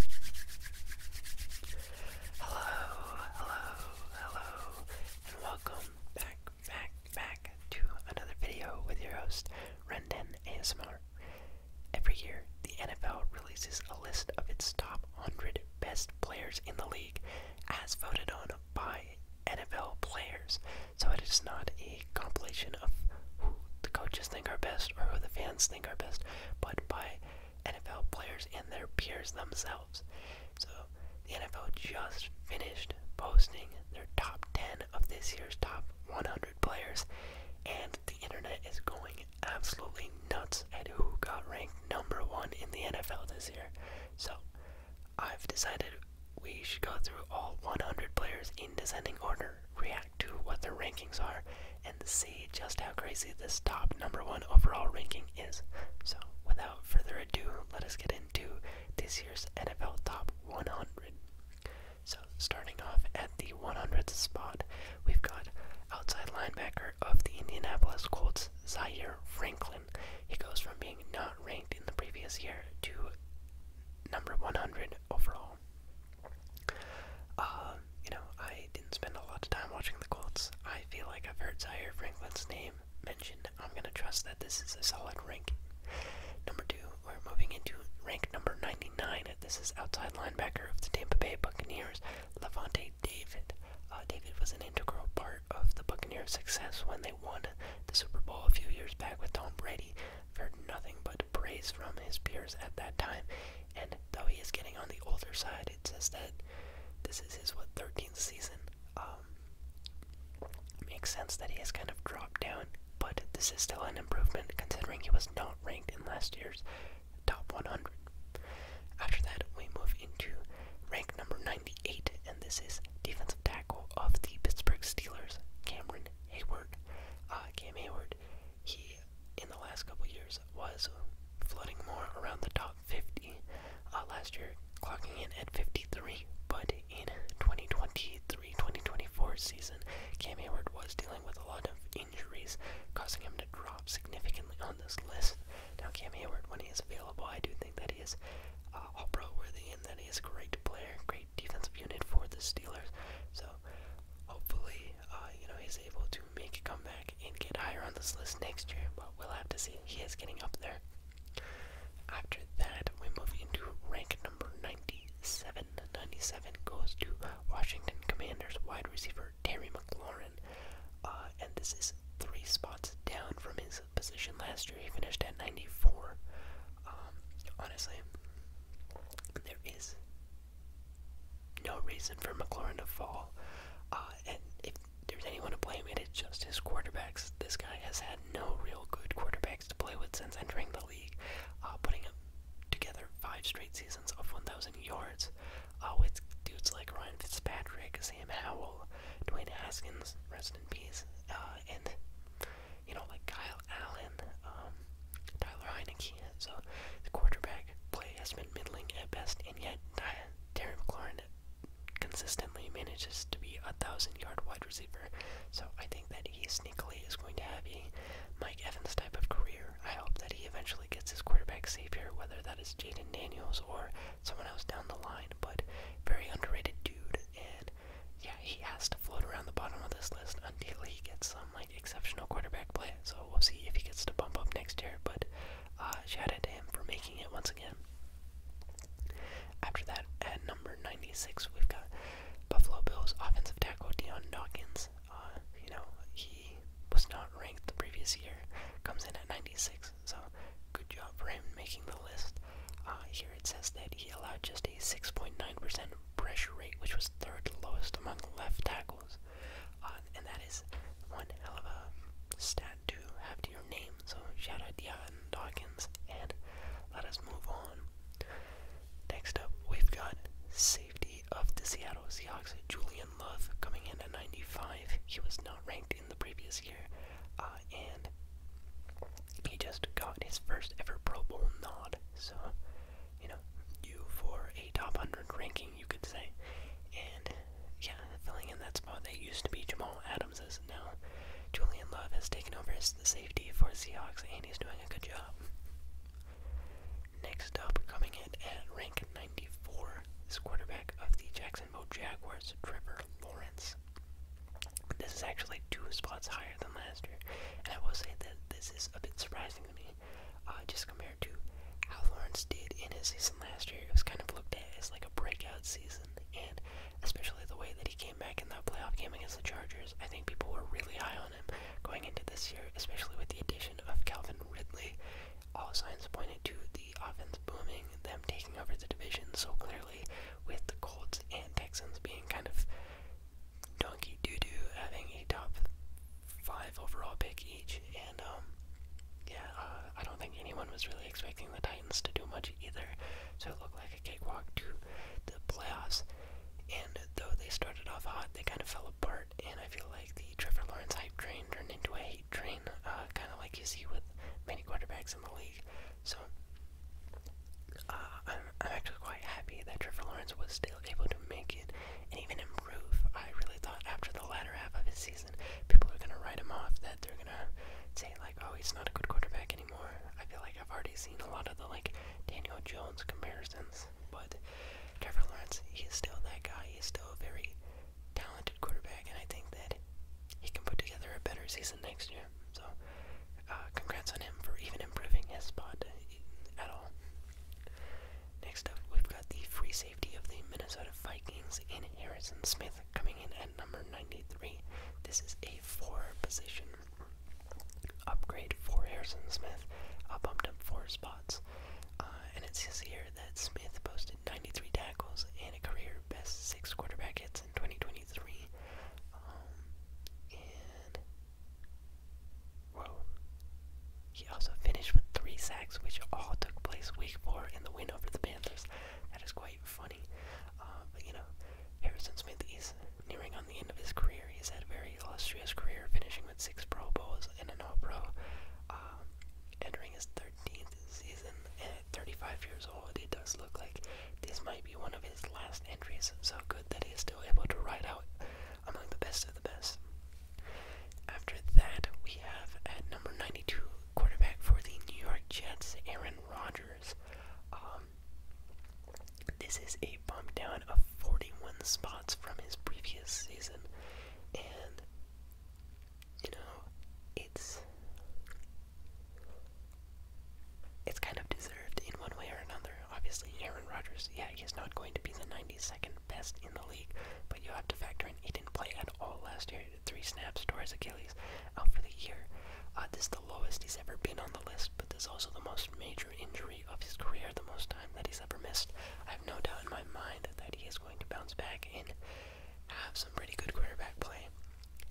Hello, hello, hello, and welcome back, back, back to another video with your host, Rendon ASMR. Every year, the NFL releases a list of its top 100 best players in the league, as voted on by NFL players. So it is not a compilation of who the coaches think are best or who the fans think are best, but by NFL players and their peers themselves. So the NFL just finished posting their top 10 of this year's top 100 players, and the internet is going absolutely nuts at who got ranked number one in the NFL this year. So I've decided we should go through all 100 players in descending order, react to what their rankings are and see just how crazy this top number one overall ranking is. So, without further ado, let us get into this year's NFL Top 100. So, starting off at the 100th spot, we've got outside linebacker of the Indianapolis Colts, Zaire Franklin. He goes from being not ranked in the previous year to number 100 overall. Um, you know, I didn't spend a lot of time watching the Colts. I feel like I've heard Zaire Franklin's name mentioned. I'm going to trust that this is a solid rank. Number two, we're moving into rank number 99. This is outside linebacker of the Tampa Bay Buccaneers, Levante David. Uh, David was an integral part of the Buccaneers' success when they won the Super Bowl a few years back with Tom Brady. I've heard nothing but praise from his peers at that time, and though he is getting on the older side, it says that this is his what 13th season. Um, makes sense that he has kind of dropped down, but this is still an improvement considering he was not ranked in last year's top 100. After that, we move into rank number 98, and this is defensive tackle of the Pittsburgh Steelers, Cameron Hayward. Uh, Cam Hayward he in the last couple years was floating more around the top 50. Uh, last year, clocking in at 53, but in 2023-2024 season, Cam Hayward was dealing with a lot of injuries, causing him to drop significantly on this list. Now, Cam Hayward, when he is available, I do think that he is uh, all-pro worthy and that he is a great player, great defensive unit for the Steelers. So, hopefully, uh, you know, is able to make a comeback and get higher on this list next year, but we'll have to see. He is getting up there. After that, we move into rank number 97. 97 goes to Washington Commanders wide receiver Terry McLaurin, uh, and this is three spots down from his position last year. He finished at 94. Um, honestly, there is no reason for McLaurin to fall. Uh, and if there's anyone to blame, it is just his quarterbacks. This guy has had no real good quarterbacks to play with since entering the league, uh, putting together five straight seasons of 1,000 yards uh, with dudes like Ryan Fitzpatrick, Sam Howell, Dwayne Haskins, rest in peace, uh, and you know like Kyle Allen, um, Tyler Heineke, yet, so the quarterback play has been middling at best, and yet uh, Terry McLaurin consistently manages to be a thousand yard wide receiver. So I think that he sneakily is going to have a Mike Evans type of career. I hope that he eventually gets his quarterback savior, whether that is Jaden Daniels or someone else down the line, but very underrated dude and yeah, he has to float around the bottom of this list until he gets some like exceptional quarterback play. So we'll see if he gets to bump up next year. But uh, shout out to him for making it once again. After that, at number 96, we've got Buffalo Bills offensive tackle Deion Dawkins. Uh, you know, he was not ranked the previous year, comes in at 96, so good job for him making the list. Uh, here it says that he allowed just a 6.9% pressure rate, which was third lowest among left tackles and that is one hell of a stat to have to your name. So shout out to Dion Dawkins and let us move on. Next up, we've got safety of the Seattle Seahawks, Julian Love, coming in at 95. He was not ranked in the previous year, uh, and he just got his first ever Pro Bowl nod. So, you know, you for a top 100 ranking you could say. And yeah, filling in that spot that used to be Jamal Adams is now Julian Love has taken over as the safety for Seahawks, and he's doing a good job. Next up, coming in at rank 94, is quarterback of the Jacksonville Jaguars, Trevor Lawrence. This is actually two spots higher than last year, and I will say that this is a bit surprising to me uh, just compared to how Lawrence did in his season last year. It was kind of looked at as like a breakout season, and especially the way that he came back in that playoff game against the Chargers, I think people were really high on him going into this year, especially with the addition of Calvin Ridley. All signs pointed to the offense booming, them taking over the division so clearly, with the Colts and Texans being kind of donkey doo doo, having a top five overall pick each, and um, yeah, uh, I don't think anyone was really expecting the Titans to do much either, so it looked like a cakewalk to the playoffs. And though they started off hot, they kind of fell apart, and I feel like the Trevor Lawrence hype train turned into a hate train, uh, kind of like you see with many quarterbacks in the league. So uh, I'm, I'm actually quite happy that Trevor Lawrence was still able to make it, and even in roof. I really thought after the latter half of his season, people are going to write him off, that they're going to say, like, oh, he's not a good quarterback anymore. I feel like I've already seen a lot of the, like, Daniel Jones comparisons, but Trevor Lawrence, he is still that guy. He's still a very talented quarterback, and I think that he can put together a better season next year. So, uh, congrats on him for even improving his spot uh, at all. Next up, we've got the free safety of the Minnesota Vikings in Harrison Smith coming in at number 93. This is a four position upgrade for Harrison Smith, uh, bumped up four spots. Uh, and it says here that Smith posted 93 tackles and a career best six quarterback hits in 2023. Um, he also finished with three sacks, which all took place week four in the win over the Panthers. That is quite funny. Um, but you know, Harrison Smith is nearing on the end of his career. He's had a very illustrious career, finishing with six Pro Bowls and an All Pro. Um, entering his 13th season at 35 years old, it does look like this might be one of his last entries. So good that he is still able to ride out among the best of the best. After that, we have at number 92 quarterback for the New York Jets, Aaron Rodgers. Um, this is a bump down of 41 spots from his previous season, and you know, it's it's kind of deserved in one way or another. Obviously, Aaron Rodgers, yeah, he's not going to be the Second best in the league, but you have to factor in he didn't play at all last year. three snaps tore his Achilles out for the year. Uh, this is the lowest he's ever been on the list, but this is also the most major injury of his career, the most time that he's ever missed. I have no doubt in my mind that he is going to bounce back and have some pretty good quarterback play.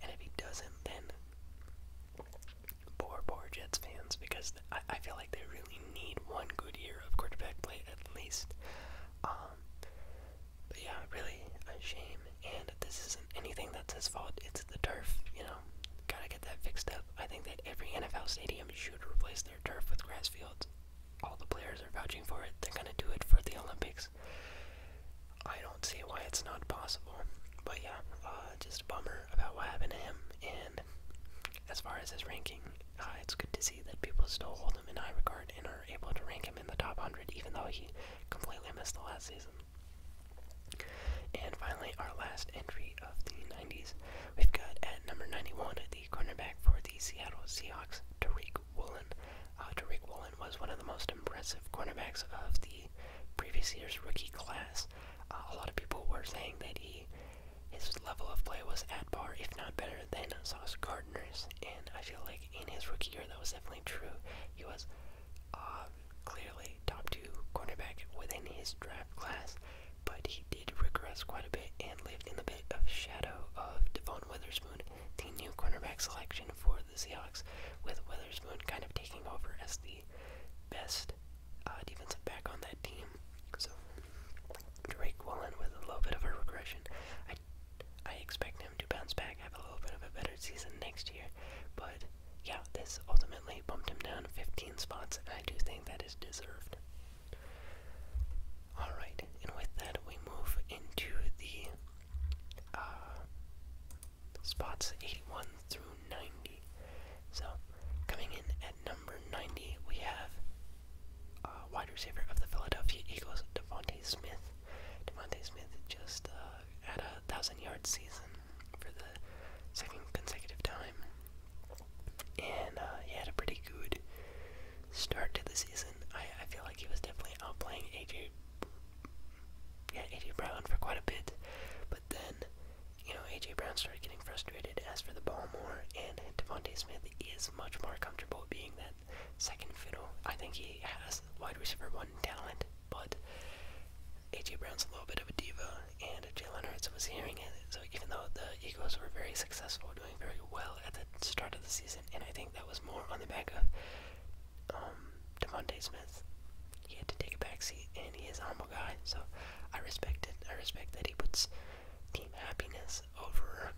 And if he doesn't, then poor, poor Jets fans, because I, feel like they really need one good year of quarterback play at least. Um, um, but yeah, really a shame. And this isn't anything that's his fault. It's the turf, you know. Gotta get that fixed up. I think that every NFL stadium should replace their turf with grass fields. All the players are vouching for it. They're gonna do it for the Olympics. I don't see why it's not possible. But yeah, uh, just a bummer about what happened to him. And as far as his ranking, uh, it's good to see that people still hold him in high regard and are able to rank him in the top 100, even though he completely missed the last season. And finally, our last entry of the 90s, we've got at number 91 the cornerback for the Seattle Seahawks, Tariq Woolen. Uh, Tariq Woolen was one of the most impressive cornerbacks of the previous year's rookie class. Uh, a lot of people were saying that he his level of play was at par, if not better, than Sauce Gardner's, and I feel like in his rookie year that was definitely true. He was uh, clearly top two cornerback within his draft class, but he did regress quite a bit and lived in the bit of shadow of Devon Witherspoon, the new cornerback selection for the Seahawks, with Witherspoon kind of taking over as the best uh, defensive back on that team. So Drake Wallen with a little bit of a regression. I, expect him to bounce back, have a little bit of a better season next year. But yeah, this ultimately bumped him down 15 spots, and I do think that is deserved. Alright, and with that, we move into the uh, spots 81 through 90. So, coming in at number 90, we have uh, wide receiver of the Philadelphia Eagles, Devonte Smith. Devonte Smith just uh, had a thousand yard season for the second consecutive time, and uh, he had a pretty good start to the season. I, feel like he was definitely outplaying AJ, yeah, AJ Brown for quite a bit, but then you know AJ Brown started getting frustrated, as for the ball more, and Devonte Smith is much more comfortable being that that second fiddle. I think he has wide receiver one talent, but AJ Brown's a little bit of a diva, and Jalen Hurts was hearing it. So even though the Eagles were very successful, doing very well at the start of the season, and I think that was more on the back of um, Devontae Smith, he had to take a backseat, and he is a humble guy. So I respect it. I respect that he puts team happiness over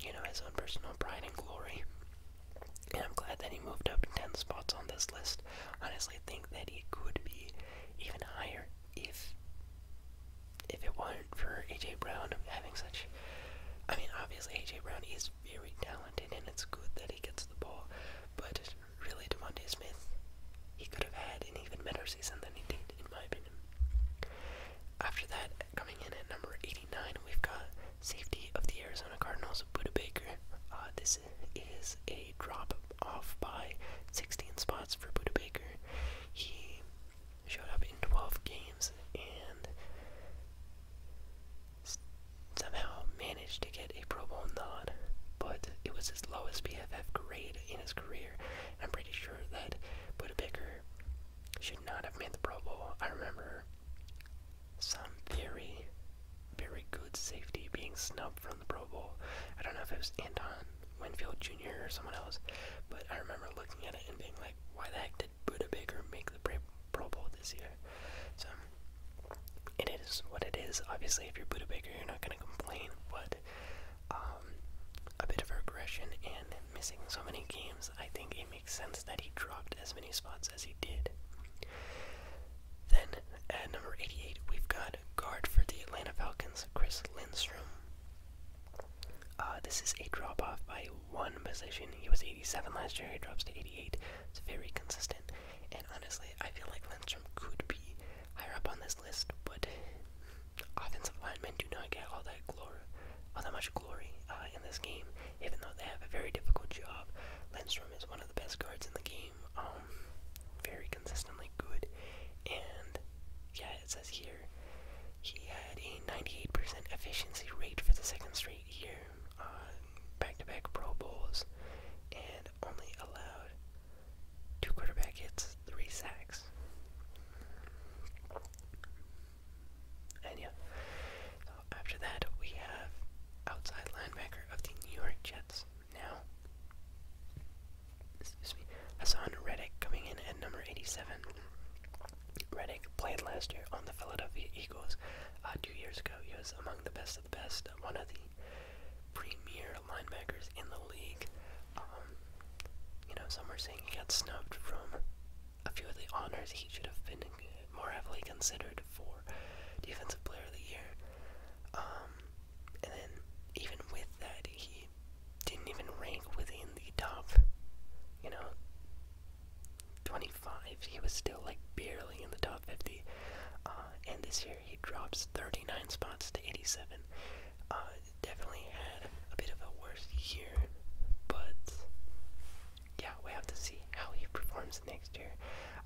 you know, his own personal pride and glory. And I'm glad that he moved up 10 spots on this list. Honestly, think that he could be even higher if if it weren't for AJ Brown having such. I mean, obviously AJ Brown is very talented, and it's good that he gets the ball. But really, Devontae Smith, he could have had an even better season than he did in my opinion. After that, coming in at number 89, we've got safety of the Arizona Cardinals, Buda Baker. Uh, this is a drop off by 16 spots for Buda Baker. He showed up in 12 games and somehow managed to get a Pro Bowl nod, but it was his lowest PFF grade in his career. I'm pretty sure that Buda Baker should not have made the Pro Bowl. I remember some very, very good safety being snubbed from the Pro Bowl. I don't know if it was Anton Winfield Jr. or someone else, but I remember looking at it and being like, why the heck did Buda Baker make the Pro Bowl this year? So, it is what it is. Obviously, if you're Buda Baker, you're not going to complain, but um, a bit of regression and missing so many games, I think it makes sense that he dropped as many spots as he did. Then at number 88, we've got guard for the Atlanta Falcons, Chris Lindstrom. Uh, this is a drop off by one position. He was 87 last year, he drops to 88. It's very consistent. And honestly, I feel like Lindstrom could be higher up on this list, but offensive linemen do not get all that glory, all that much uh, in this game, even though they have a very difficult job. Lindstrom is one of the best guards in the game, um, very consistently good, and yeah, it says here he had a 98% efficiency rate for the second straight year, uh, back-to-back -back Pro Bowls, and only allowed two quarterback hits, three sacks. And yeah. So after that, we have outside linebacker of the New York Jets now. Excuse me, Hassan Reddick coming in at number 87. Reddick played last year on the Philadelphia Eagles. Uh, two years ago, he was among the best of the best, one of the premier linebackers in the league. Um, you know, some were saying he got snubbed from a few of the honors he should have been more heavily considered for Defensive Player of the Year. Um, and then, even with that, he didn't even rank within the top, you know, 25. He was still, like, barely in the top 50. Uh, and this year he drops 39 spots to 87. Uh, definitely had a bit of a worse year, but yeah, we have to see how he performs next year.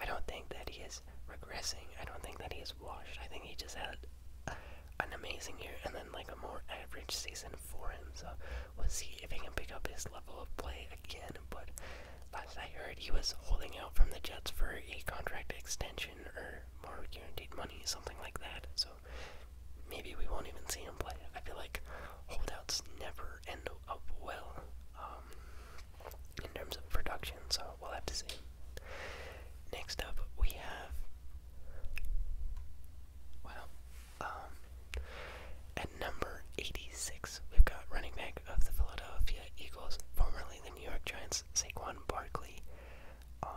I don't think that he is regressing. I don't think that he is washed. I think he just had an amazing year and then like a more average season for him. So we'll see if he can pick up his level of play again. But last I heard, he was holding out from the Jets for a contract extension or more guaranteed money, something like that. So maybe we won't even see him play. I feel like holdouts never end up well um, in terms of production, so we'll have to see. Next up, we have. Well, um, at number 86, we've got running back of the Philadelphia Eagles, formerly the New York Giants, Saquon Barkley. Um,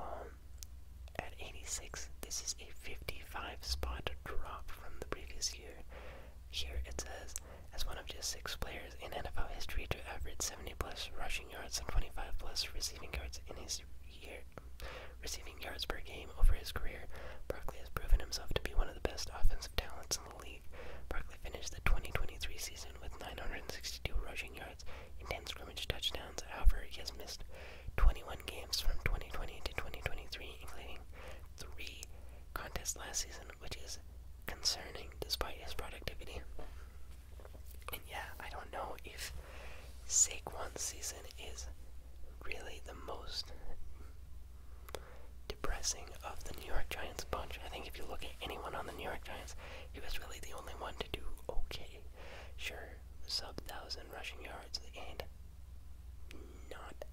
at 86, this is a 55 spot drop from the previous year. Here it says, as one of just six players in NFL history to average 70 plus rushing yards and 25 plus receiving yards in his year, receiving yards per game over his career, Barkley has proven himself to be one of the best offensive talents in the league. Barkley finished the 2023 season with 962 rushing yards and 10 scrimmage touchdowns. However, he has missed 21 games from 2020 to 2023, including three contests last season, which is concerning despite his productivity. And yeah, I don't know if Saquon's season is really the most depressing of the New York Giants bunch. I think if you look at anyone on the New York Giants, he was really the only one to do okay. Sure, sub thousand rushing yards and not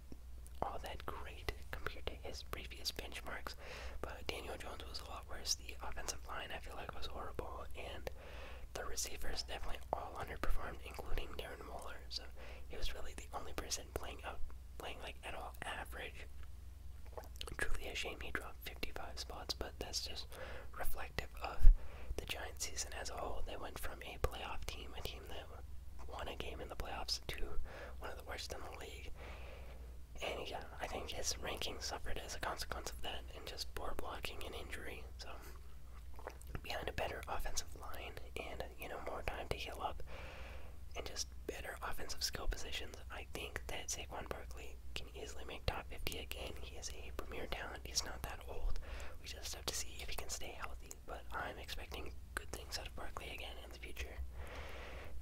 all that great compared to his previous benchmarks, but Daniel Jones was a lot worse. The offensive line, I feel like, was horrible, and the receivers definitely all underperformed, including Darren Waller. So he was really the only person playing out, playing like at all average. Truly a shame he dropped 55 spots, but that's just reflective of the Giants' season as a whole. They went from a playoff team, a team team that won a game in the playoffs to one of the worst in the league. And yeah, I think his ranking suffered as a consequence of that and just poor blocking and injury. So, behind a better offensive line and, you know, more time to heal up and just better offensive skill positions, I think that Saquon Barkley can easily make top 50 again. He is a premier talent. He's not that old. We just have to see if he can stay healthy but I'm expecting good things out of Barkley again in the future.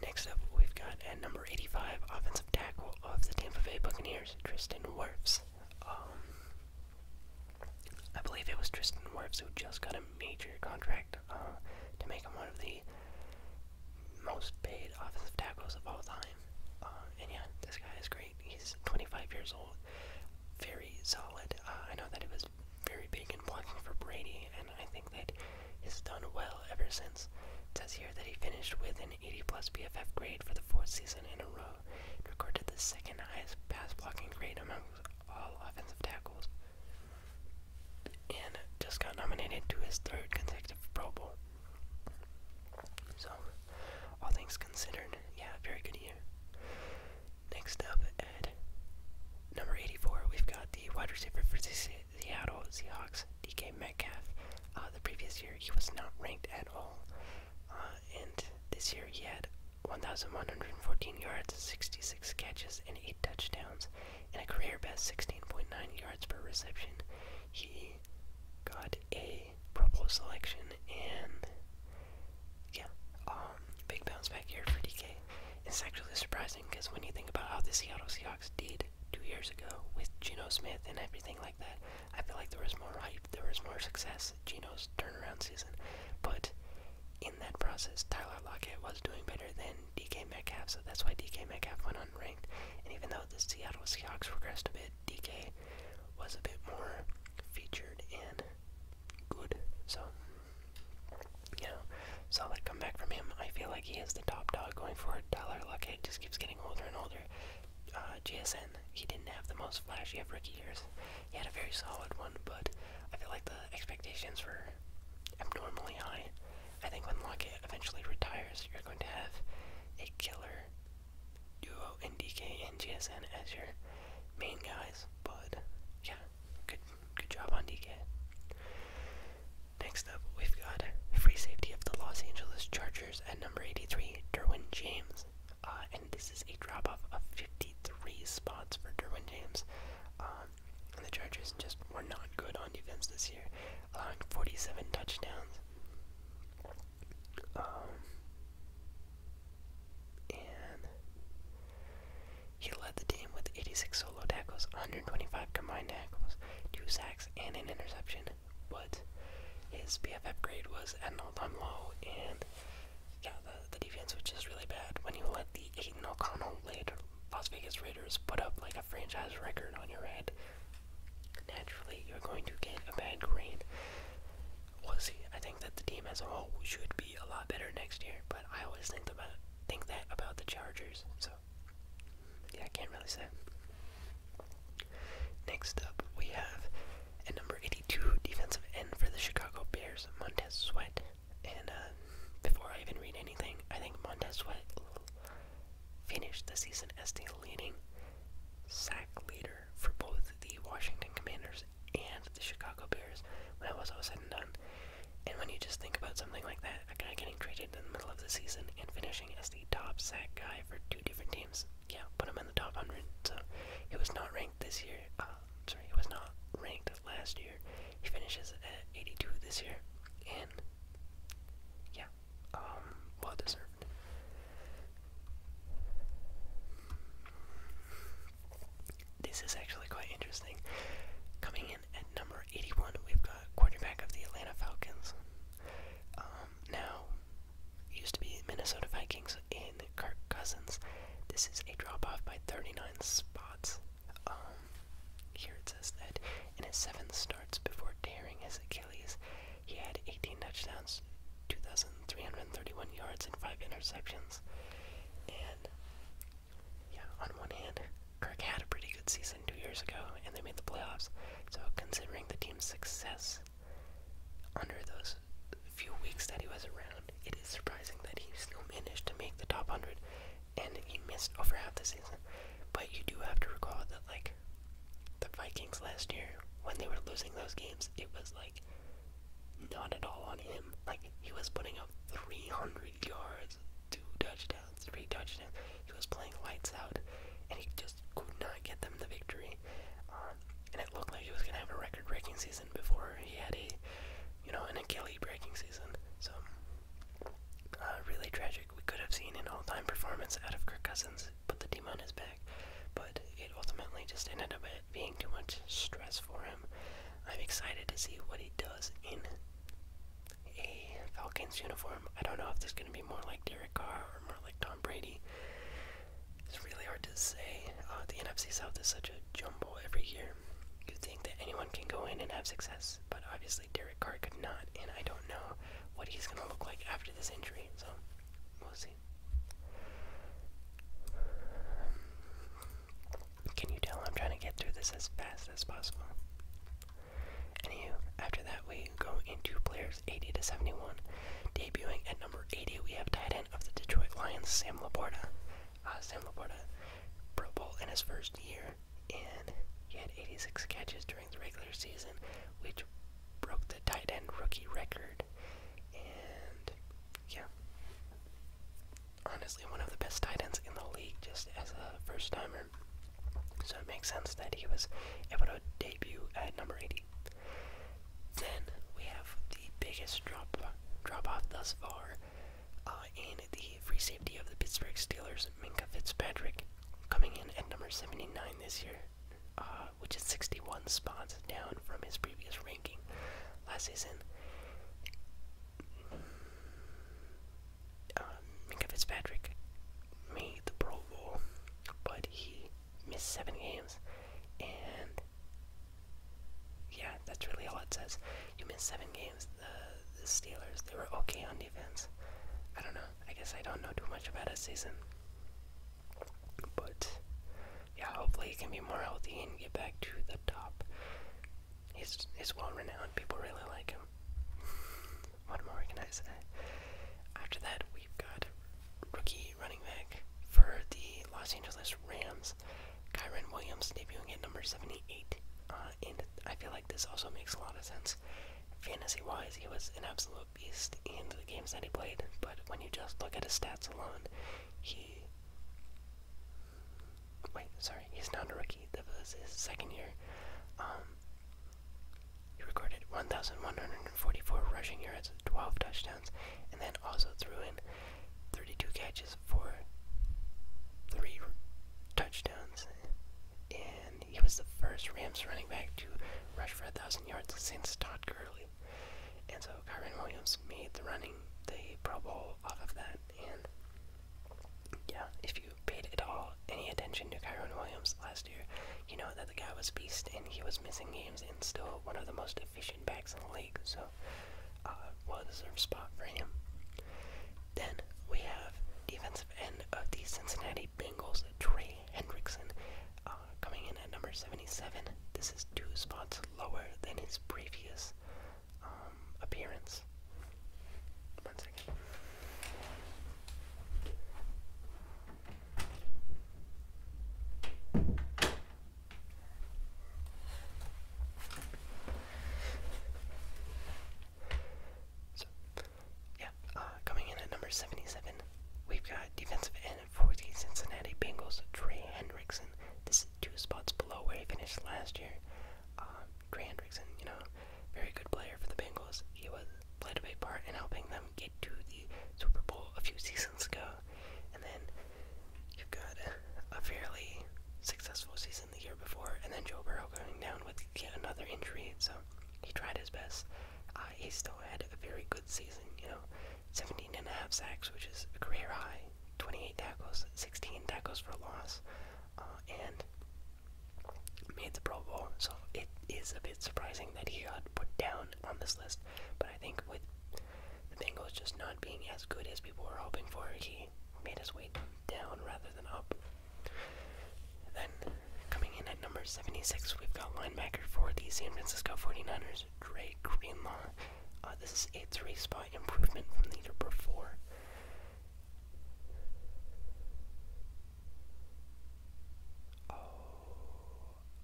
Next up, we've got at number 85 offensive tackle of the Tampa Bay Buccaneers, Tristan Wirfs. Um, I believe it was Tristan Wirfs who just got a major contract uh, to make him one of the most paid offensive tackles of all time. Uh, and yeah, this guy is great. He's 25 years old, very solid. Uh, I know that it was very big and blocking for Brady, and I think that he's done well ever since. It says here that he finished with an 80 plus BFF grade for the fourth season in a row, recorded the second highest pass blocking grade among all offensive tackles, and just got nominated to his third consecutive Pro Bowl. So, all things considered, yeah, very good year. Next up at number 84, we've got the wide receiver for the Seattle Seahawks, DK Metcalf. Uh, the previous year, he was not ranked at all. Uh, and this year, he had 1,114 yards, 66 catches, and 8 touchdowns, and a career best 16.9 yards per reception. He got a Pro Bowl selection and yeah, um, big bounce back here for DK. It's actually surprising because when you think about how the Seattle Seahawks did two years ago with Geno Smith and everything like that, I feel like there was more hype, there was more success Geno's turnaround season. But in that process, Tyler Lockett was doing better than DK Metcalf, so that's why DK Metcalf went unranked. And even though the Seattle Seahawks progressed a bit, DK was a bit more featured in good. So, you know, solid comeback from him. I feel like he is the top dog going for a dollar. Lockett just keeps getting older and older. GSN, uh, he didn't have the most flashy of rookie years. He had a very solid one, but I feel like the expectations were abnormally high. I think when Lockett eventually retires, you're going to have a killer duo NDK and GSN as your main guys. Nice, Yeah, good good job on DK. Next up, we've got free safety of the Los Angeles Chargers at number 83, Derwin James. Uh, and this is a drop off of 53 spots for Derwin James. Um, the Chargers just were not good on defense this year, allowing 47 touchdowns. Um, and he led the team with 86 solo tackles, 125 combined tackles, 2 sacks, and an interception. But his PFF grade was at an all time low, and yeah, the, defense which is really bad. When you let the Aiden O'Connell led Las Vegas Raiders put up like a franchise record on your head, naturally you're going to get a bad grade we'll see. I think that the team as a whole should be a lot better next year, but I always think about think that about the Chargers. So yeah, I can't really say. Next up, we have a number 82 defensive end for the Chicago Bears, Montez Sweat. And uh, before I even read anything, I think Montez Sweat finished the season as the leading sack leader for both the Washington Commanders and the Chicago Bears when it was all said and done. And when you just think about something like that, a guy getting traded in the middle of the season and finishing as the top sack guy for two different teams, yeah, put him in the top 100. So it was not ranked this year. Uh, sorry, it was not ranked last year. He finishes at 82 this year, and yeah, um, well deserved. This is actually quite interesting. Coming in at number 81, we've got quarterback of the Atlanta Falcons. Um, now, used to be Minnesota Vikings in Kirk Cousins. This is a drop off by 39 spots. Um, here it says that in his seven starts before tearing his Achilles, he had 18 touchdowns, 2,331 yards, and 5 interceptions. And yeah, on one hand, Kirk had a pretty good season two years ago, and they made the playoffs. So considering the team's success under those few weeks that he was around, it is surprising that he still managed to make the top hundred, and he missed over half the season. But you do have to recall that like the Vikings last year, when they were losing those games, it was like not at all on him. Like he was putting up 300 yards, two touchdowns, three touchdowns. He was playing lights out, and he just could not get them the victory. Um, and it looked like he was gonna have a record-breaking season before he had a, you know, an Achilles-breaking season. So uh, really tragic. We could have seen an all-time performance out of Kirk Cousins, put the team on his back, but it ultimately just ended up being too much stress for him. I'm excited to see what he does in a Falcons uniform. I don't know if this going to be more like Derek Carr or more like Tom Brady. It's really hard to say. Uh, the NFC South is such a jumble every year. You would think that anyone can go in and have success, but obviously Derek Carr could not, and I don't know what he's going to look like after this injury, so we'll see. Can you tell I'm trying to get through this as fast as possible? Anywho, after that we go into players 80 to 71. Debuting at number 80, we have tight end of the Detroit Lions, Sam Laporta. Ah, Sam Laporta, Pro Bowl in his first year, and he had 86 catches during the regular season, which broke the tight end rookie record yeah. Honestly, one of the best tight ends in the league just as a first timer. So it makes sense that he was able to debut at number 80. Then we have the biggest drop drop off thus far uh, in the free safety of the Pittsburgh Steelers, Minka Fitzpatrick, coming in at number 79 this year, uh, which is 61 spots down from his previous ranking last season. Uh, Fitzpatrick made the Pro Bowl, but he missed seven games, and yeah, that's really all it says. You missed seven games. The, the Steelers, they were okay on defense. I don't know. I guess I don't know too much about his season. But yeah, hopefully he can be more healthy and get back to the top. He's he's well renowned. People really like him. what more can After that, we've got rookie running back for the Los Angeles Rams, Kyron Williams, debuting at number 78. Uh, and I feel like this also makes a lot of sense. Fantasy wise, he was an absolute beast in the games that he played, but when you just look at his stats alone, he Wait, sorry, he's not a rookie. That was his second year. Um, he recorded 1,144 rushing yards, 12 touchdowns, and then also threw in 32 catches for three touchdowns. And he was the first Rams running back to rush for 1,000 yards since Todd Gurley. And so Kyron Williams made the running the Pro Bowl off of that. And yeah, if you paid at all any attention to Kyron Williams last year, you know that the guy was beast and he was missing games and still one of the most efficient backs in the league. So, uh, well deserved spot for him. Then we have defensive end of the Cincinnati Bengals, Trey Hendrickson, uh, coming in at number 77. This is two spots lower than his previous um, appearance. One second. So, yeah, uh, coming in at number 77, we've got defensive end for the Cincinnati Bengals, Trey Hendrickson two spots below where he finished last year. Um, Gray Hendrickson, you know, very good player for the Bengals. He was played a big part in helping them get to the Super Bowl a few seasons ago. And then you've got a, a fairly successful season the year before, and then Joe Burrow going down with yet another injury. So he tried his best. Uh, he still had a very good season, you know. 17 and a half sacks, which is a career high, 28 tackles, 16 tackles for loss, uh, and made the Pro Bowl. So it is a bit surprising that he got put down on this list, but I think with the Bengals just not being as good as people were hoping for, he made his way down rather than up. Then, coming in at number 76, we've got linebacker for the San Francisco 49ers, Dre Greenlaw. Uh, this is a three spot improvement from the year before. Oh,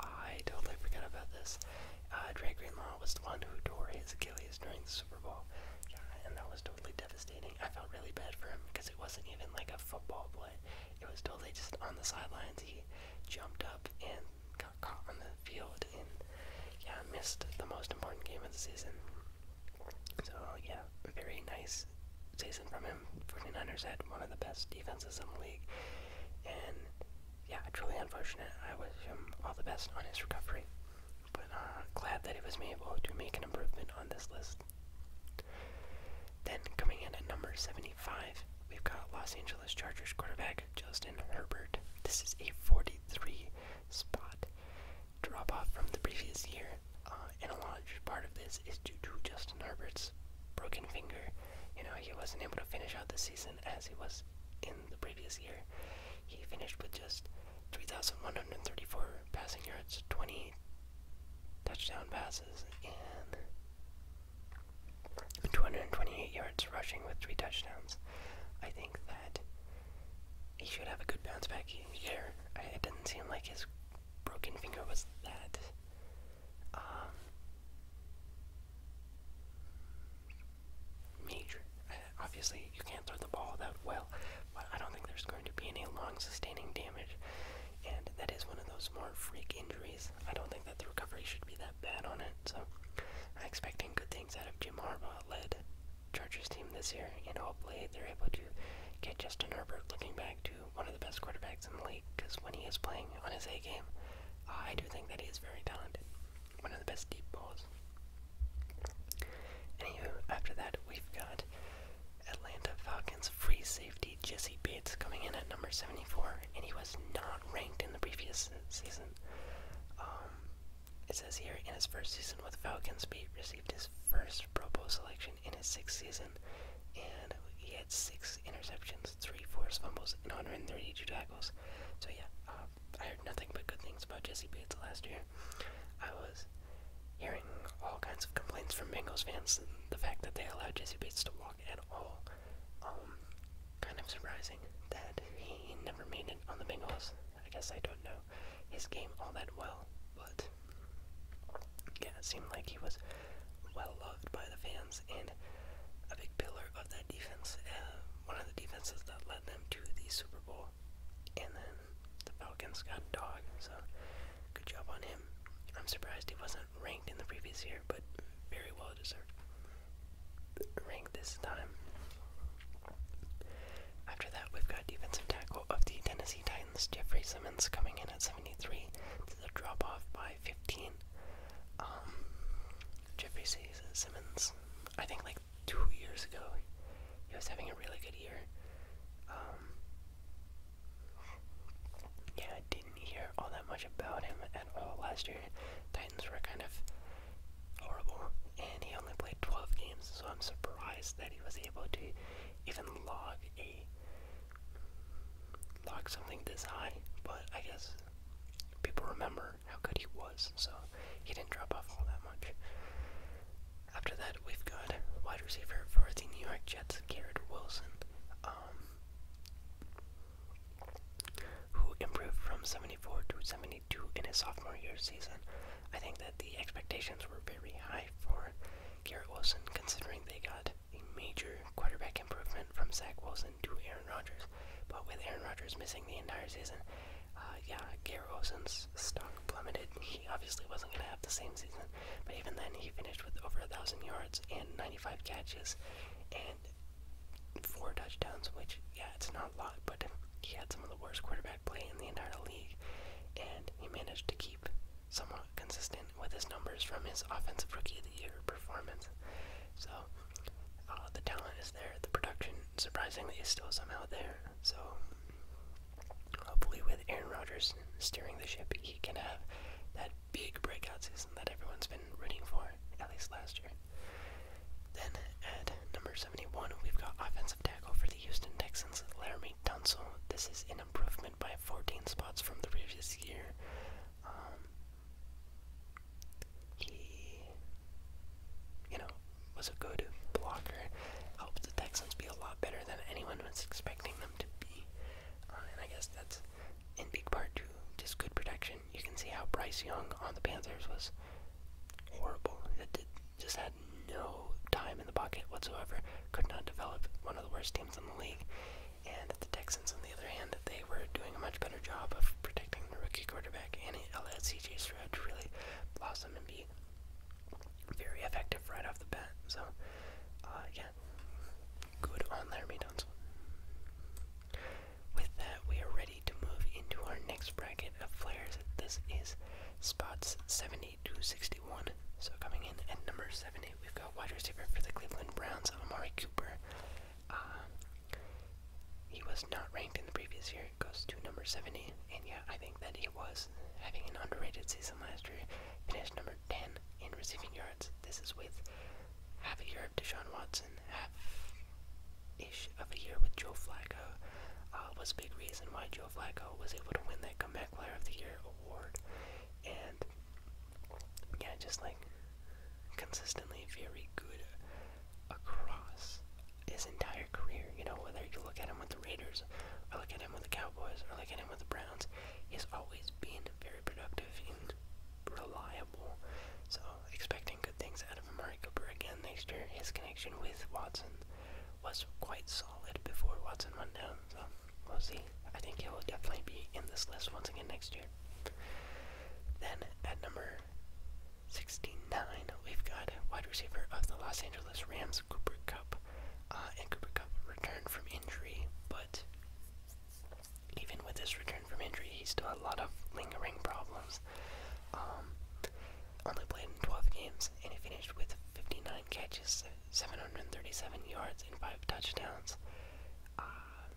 I totally forgot about this. Uh, Dre Greenlaw was the one who tore his Achilles during the Super Bowl, yeah, and that was totally devastating. I felt really bad for him because it wasn't even like a football play; it was totally just on the sidelines. He jumped up and caught on the field and yeah, missed the most important game of the season. So yeah, very nice season from him. 49ers had one of the best defenses in the league. And yeah, truly unfortunate. I wish him all the best on his recovery. But uh, glad that he was able to make an improvement on this list. Then coming in at number 75, we've got Los Angeles Chargers quarterback Justin Herbert. This is a 43 spot drop off from the previous year, uh, and a large part of this is due to Justin Herbert's broken finger. You know, he wasn't able to finish out the season as he was in the previous year. He finished with just 3,134 passing yards, 20 touchdown passes, and 228 yards rushing with three touchdowns. I think that he should have a good bounce back here. It does not seem like his broken finger was that. Um, major. obviously, you can't throw the ball that well, but I don't think there's going to be any long sustaining damage. And that is one of those more freak injuries. I don't think that the recovery should be that bad on it. So I'm expecting good things out of Jim Harbaugh led Chargers team this year, and hopefully they're able to get Justin Herbert looking back to one of the best quarterbacks in the league. Because when he is playing on his A game, I do think that he is very talented. One of the best deep balls. Anywho, after that we've got Atlanta Falcons free safety Jesse Bates coming in at number 74, and he was not ranked in the previous season. Um, it says here, in his first season with Falcons, Pete received his first Pro Bowl selection in his sixth season, and he had six interceptions, three forced fumbles, and 132 tackles. So yeah, uh, I heard nothing but good things about Jesse Bates last year. I was hearing all kinds of complaints from Bengals fans, and the fact that they allowed Jesse Bates to walk at all, um, kind of surprising that he never made it on the Bengals. I guess I don't know his game all that well, but yeah, it seemed like he was well loved by the fans and a big pillar of that defense, uh, one of the defenses that led them to the Super Bowl. And then the Falcons got Dog, so good job on him. I'm surprised he wasn't ranked in the previous year, but very well deserved rank this time. After that, we've got defensive tackle of the Tennessee Titans, Jeffrey Simmons, coming in at 73. To the drop off by 15. Um, Jeffrey Simmons, I think like two years ago, he was having a really good year. Um, yeah, I didn't hear all that much about him at all last year. Titans were kind of horrible, and he only played 12 games, so I'm surprised that he was able to even log a log something this high. But I guess people remember how good he was, so he didn't drop off all that much. After that, we've got wide receiver for the New York Jets, Garrett Wilson, um, who improved from 74 to 70 do in his sophomore year season. I think that the expectations were very high for Garrett Wilson, considering they got a major quarterback improvement from Zach Wilson to Aaron Rodgers. But with Aaron Rodgers missing the entire season, uh, yeah, Garrett Wilson's stock plummeted. He obviously wasn't going to have the same season, but even then, he finished with over a 1,000 yards and 95 catches and four touchdowns, which yeah, it's not a lot, but he had some of the worst quarterback play in the entire league, and he managed to keep somewhat consistent with his numbers from his offensive rookie of the year performance. So uh, the talent is there, the production surprisingly is still somehow there. So hopefully, with Aaron Rodgers steering the ship, he can have that big breakout season that everyone's been rooting for, at least last year. Then at number 71, we've got offensive tackle for the Houston Texans, Laramie Tunsil. This is an improvement by 14 spots from the previous year. Um, he, you know, was a good blocker, helped the Texans be a lot better than anyone was expecting them to be. Uh, and I guess that's in big part to just good protection. You can see how Bryce Young on the Panthers was horrible. It, it just had no time in the pocket whatsoever. Could not develop one of the worst teams in the league. And the Texans, on the other hand, they were doing a much better job of protecting the rookie quarterback, and it allowed CJ Stroud to really blossom and be very effective right off the bat. So, uh, yeah, good on Laramie Tunsil. With that, we are ready to move into our next bracket of players. This is spots 70 to 61. So coming in at number 70, we've got wide receiver for the Cleveland Browns, Amari Cooper. Um, he was not ranked in the previous year. It goes to number 70, and yeah, I think that he was having an underrated season last year. Finished number 10 in receiving yards. This is with half a year to Deshaun Watson, ish of a year with Joe Flacco uh, was a big reason why Joe Flacco was able to win that Comeback Player of the Year award. And yeah, just like consistently very good across his entire career. You know, whether you look at him with the Raiders, or look at him with the Cowboys, or look at him with the Browns, he's always been very productive and reliable. So expecting good things out of Amari Cooper again next year. His connection with Watson was quite solid before Watson went down, so we'll see. I think he will definitely be in this list once again next year. Then at number 69, we've got wide receiver of the Los Angeles Rams, Cooper Cup. Uh, and Cooper Cup returned from injury, but even with his return from injury, he still had a lot of lingering problems. Um, only played in 12 games, and he finished with 59 catches, 737 yards, and 5 touchdowns. Uh,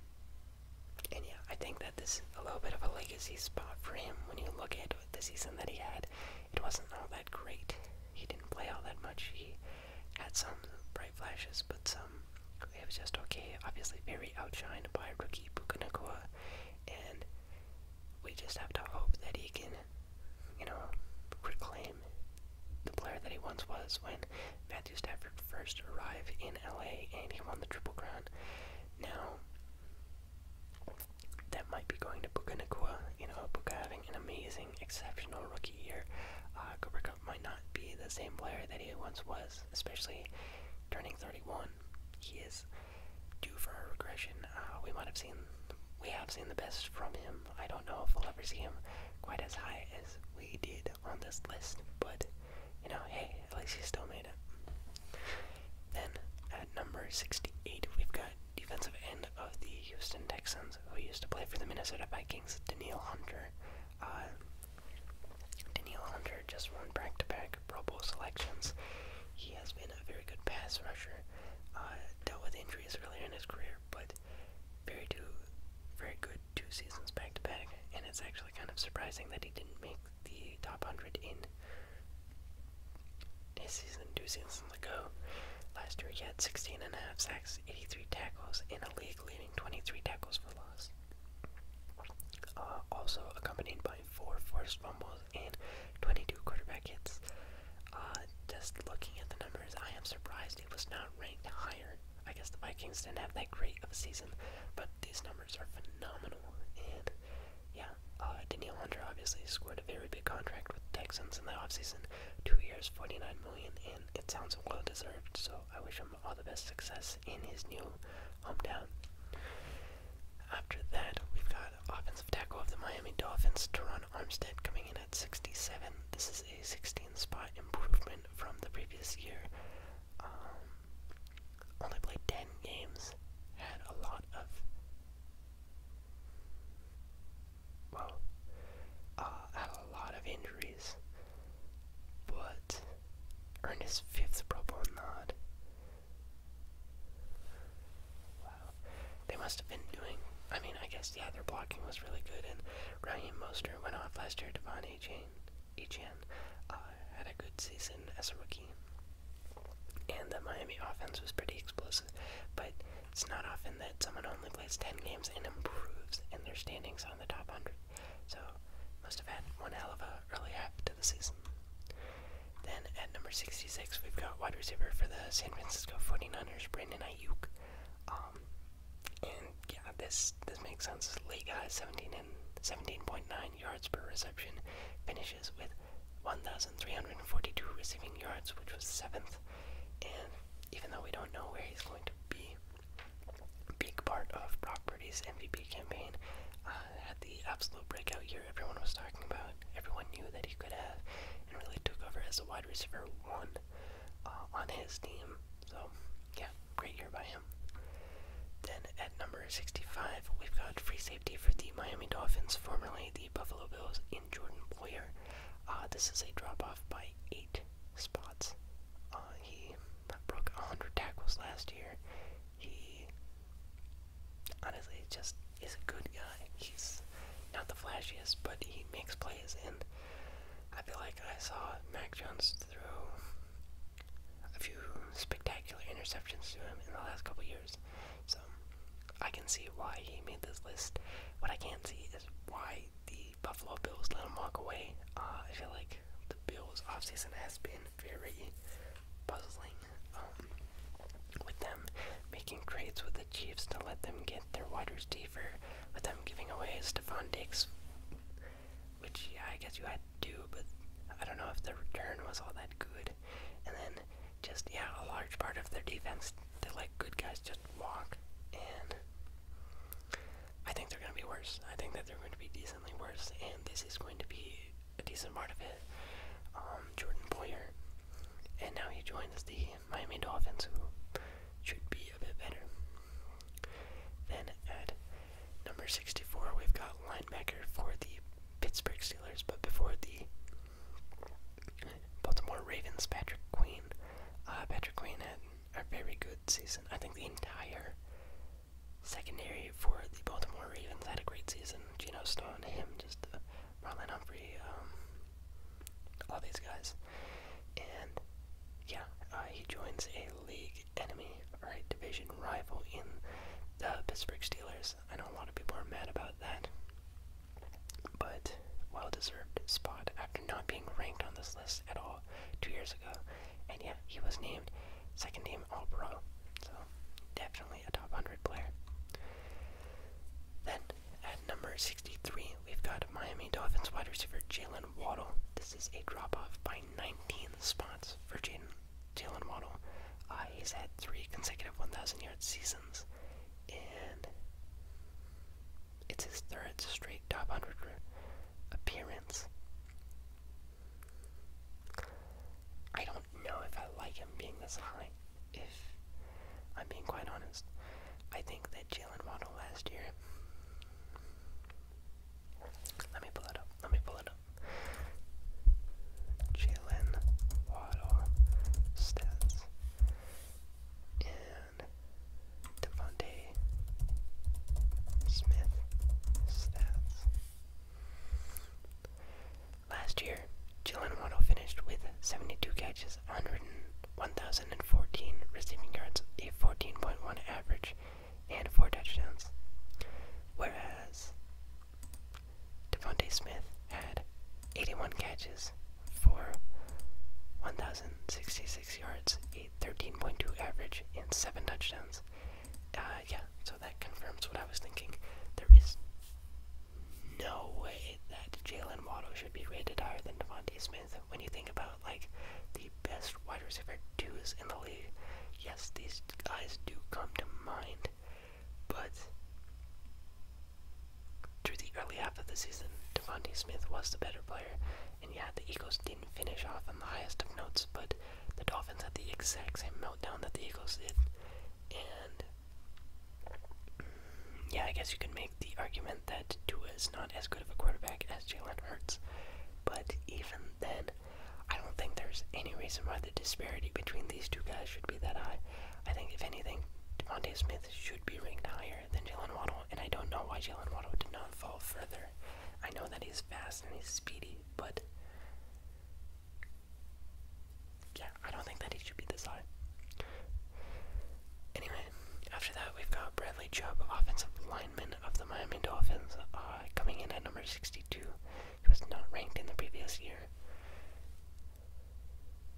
and yeah, I think that this is a little bit of a legacy spot for him when you look at the season that he had. It wasn't all that great. He didn't play all that much. He had some bright flashes, but some it was just okay. Obviously, very outshined by rookie Puka Nakua, and we just have to hope that he can, you know, reclaim the player that he once was when Matthew Stafford first arrived in LA and he won the Triple Crown. Now, that might be going to Puka Nakua. You know, Puka having an amazing, exceptional rookie year. Uh, Cooper Cup might not be the same player that he once was, especially turning 31. He is due for a regression. Uh, we might have seen, we have seen the best from him. I don't know if we'll ever see him quite as high as we did on this list, but you know, hey, at least he still made it. Then at number 68, we've got defensive end of the Houston Texans, who used to play for the Minnesota Vikings, Daniil Hunter. Uh, Hunter just won back-to-back Pro Bowl selections. He has been a very good pass rusher. Uh, dealt with injuries earlier in his career, but very two, very good two seasons back to back. And it's actually kind of surprising that he didn't make the top hundred in his season two seasons ago. Last year he had 16 and a half sacks, 83 tackles, in a league leading 23 tackles for loss. Uh, also accompanied by four forced fumbles and 22 quarterback hits. Uh, just looking at the numbers, I am surprised it was not ranked higher. I guess the Vikings didn't have that great of a season, but these numbers are phenomenal. And yeah, uh, Daniel Hunter obviously scored a very big contract with the Texans in the offseason two years, 49 million, and it sounds well deserved. So I wish him all the best success in his new hometown. After that, we've got offensive tackle of the Miami Dolphins, Teron Armstead, coming in at 67. This is a 16 spot improvement from the previous year. Um, only played 10 games, had a lot of. Well, uh, had a lot of injuries, but earned his fifth Pro Bowl nod. Wow. They must have been doing. I mean, I guess, yeah, their blocking was really good, and Ryan Moster went off last year. Devon Achan uh, had a good season as a rookie. And the Miami offense was pretty explosive, but it's not often that someone only plays 10 games and improves in their standings on the top 100. So, must have had one hell of a early half to the season. Then at number 66, we've got wide receiver for the San Francisco 49ers, Brandon Ayuk. Um, and yeah, this this makes sense. League guy, 17 and 17.9 yards per reception, finishes with 1,342 receiving yards, which was seventh. And even though we don't know where he's going to be, big part of Brock MVP campaign. Uh, had the absolute breakout year everyone was talking about. Everyone knew that he could have, and really took over as a wide receiver one uh, on his team. So, yeah, great year by him. Then at number 65, we've got free safety for the Miami Dolphins, formerly the Buffalo Bills, in Jordan Boyer. Uh, this is a drop off by eight spots. Uh, he broke 100 tackles last year. He honestly just is a good guy. He's not the flashiest, but he makes plays, and I feel like I saw Mac Jones throw a few spectacular interceptions to him in the last couple years. So I can see why he made this list. What I can't see is why the Buffalo Bills let him walk away. Uh, I feel like the Bills' offseason has been very puzzling um, with them making trades with the Chiefs to let them get their waters deeper, with them giving away Stephon Diggs, which yeah, I guess you had to do, but I don't know if the return was all that good. And then just yeah, a large part of their defense they let good guys just walk, and I think they're gonna be worse. I think that they're going to be decently worse, and this is going to be a decent part of it. Um, Jordan Boyer, and now he joins the Miami Dolphins, who should be a bit better. Then at number 64, we've got linebacker for the Pittsburgh Steelers, but before the Baltimore Ravens, Patrick Queen. Uh, Patrick Queen had a very good season. I think the entire secondary for the Baltimore Ravens had a great season. Geno Stone, him, just Marlon Humphrey, um, all these guys. And yeah, uh, he joins a league enemy, right, division rival in the Pittsburgh Steelers. I know a lot of people are mad about that, but well deserved spot after not being ranked on this list at all two years ago. And yeah, he was named second team All Pro. So definitely at number 63, we've got Miami Dolphins wide receiver Jalen Waddle. This is a drop off by 19 spots for Jalen Waddle. Uh, he's had three consecutive 1,000 yard seasons, and it's his third straight top 100 appearance. I don't know if I like him being this high if I'm being quite honest. I think that Jalen Waddle last year. Let me pull it up. Let me pull it up. Jalen Waddle stats and Devontae Smith stats. Last year, Jalen Waddle finished with 72 catches, 1,014 receiving yards, a 14.1 average, and 4 touchdowns. Whereas Devontae Smith had 81 catches for 1,066 yards, a 13.2 average, and 7 touchdowns. Uh, yeah, so that confirms what I was thinking. There is no way that Jalen Waddle should be rated higher than Devonte Smith when you think about like the best wide receiver duos in the league. Yes, these guys do come to mind, but through the early half of the season, Devonte Smith was the better player, and yeah, the Eagles didn't finish off on the highest of notes, but the Dolphins had the exact same meltdown that the Eagles did, and yeah, I guess you can make the argument that Dua is not as good of a quarterback as Jalen Hurts, but even then, I don't think there's any reason why the disparity between these two guys should be that high. I think, if anything, Devontae Smith should be ranked higher than Jalen Waddle, and I don't know why Jalen Waddle did not fall further. I know that he's fast and he's speedy, but yeah, I don't think that he should be this high. Anyway, after that, we've got Bradley Chubb, offensive lineman of the Miami Dolphins, uh, coming in at number 62. He was not ranked in the previous year.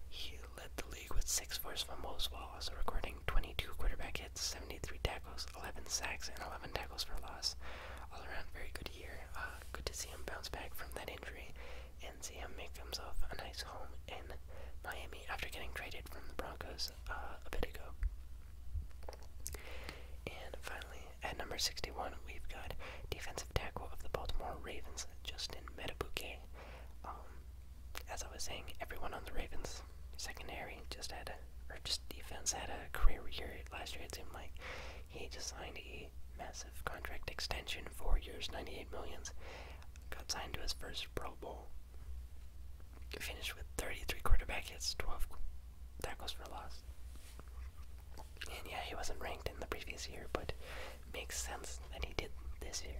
He led the league with six forced fumbles while also recording 22 quarterback hits, 73 tackles, 11 sacks, and 11 tackles for loss. All around, very good year. Uh, good to see him bounce back from that injury and see him make himself a nice home in Miami after getting traded from the Broncos uh, a bit ago. And finally, at number 61, we've got defensive tackle of the Baltimore Ravens, Justin Metabuke. Um, as I was saying, everyone on the Ravens secondary just had a, or just defense had a career year last year. It seemed like he just signed a massive contract extension, four years, 98 millions. Got signed to his first Pro Bowl. Finished with 33 quarterback hits, 12 tackles for loss. And yeah, he wasn't ranked in the previous year, but makes sense that he did this year.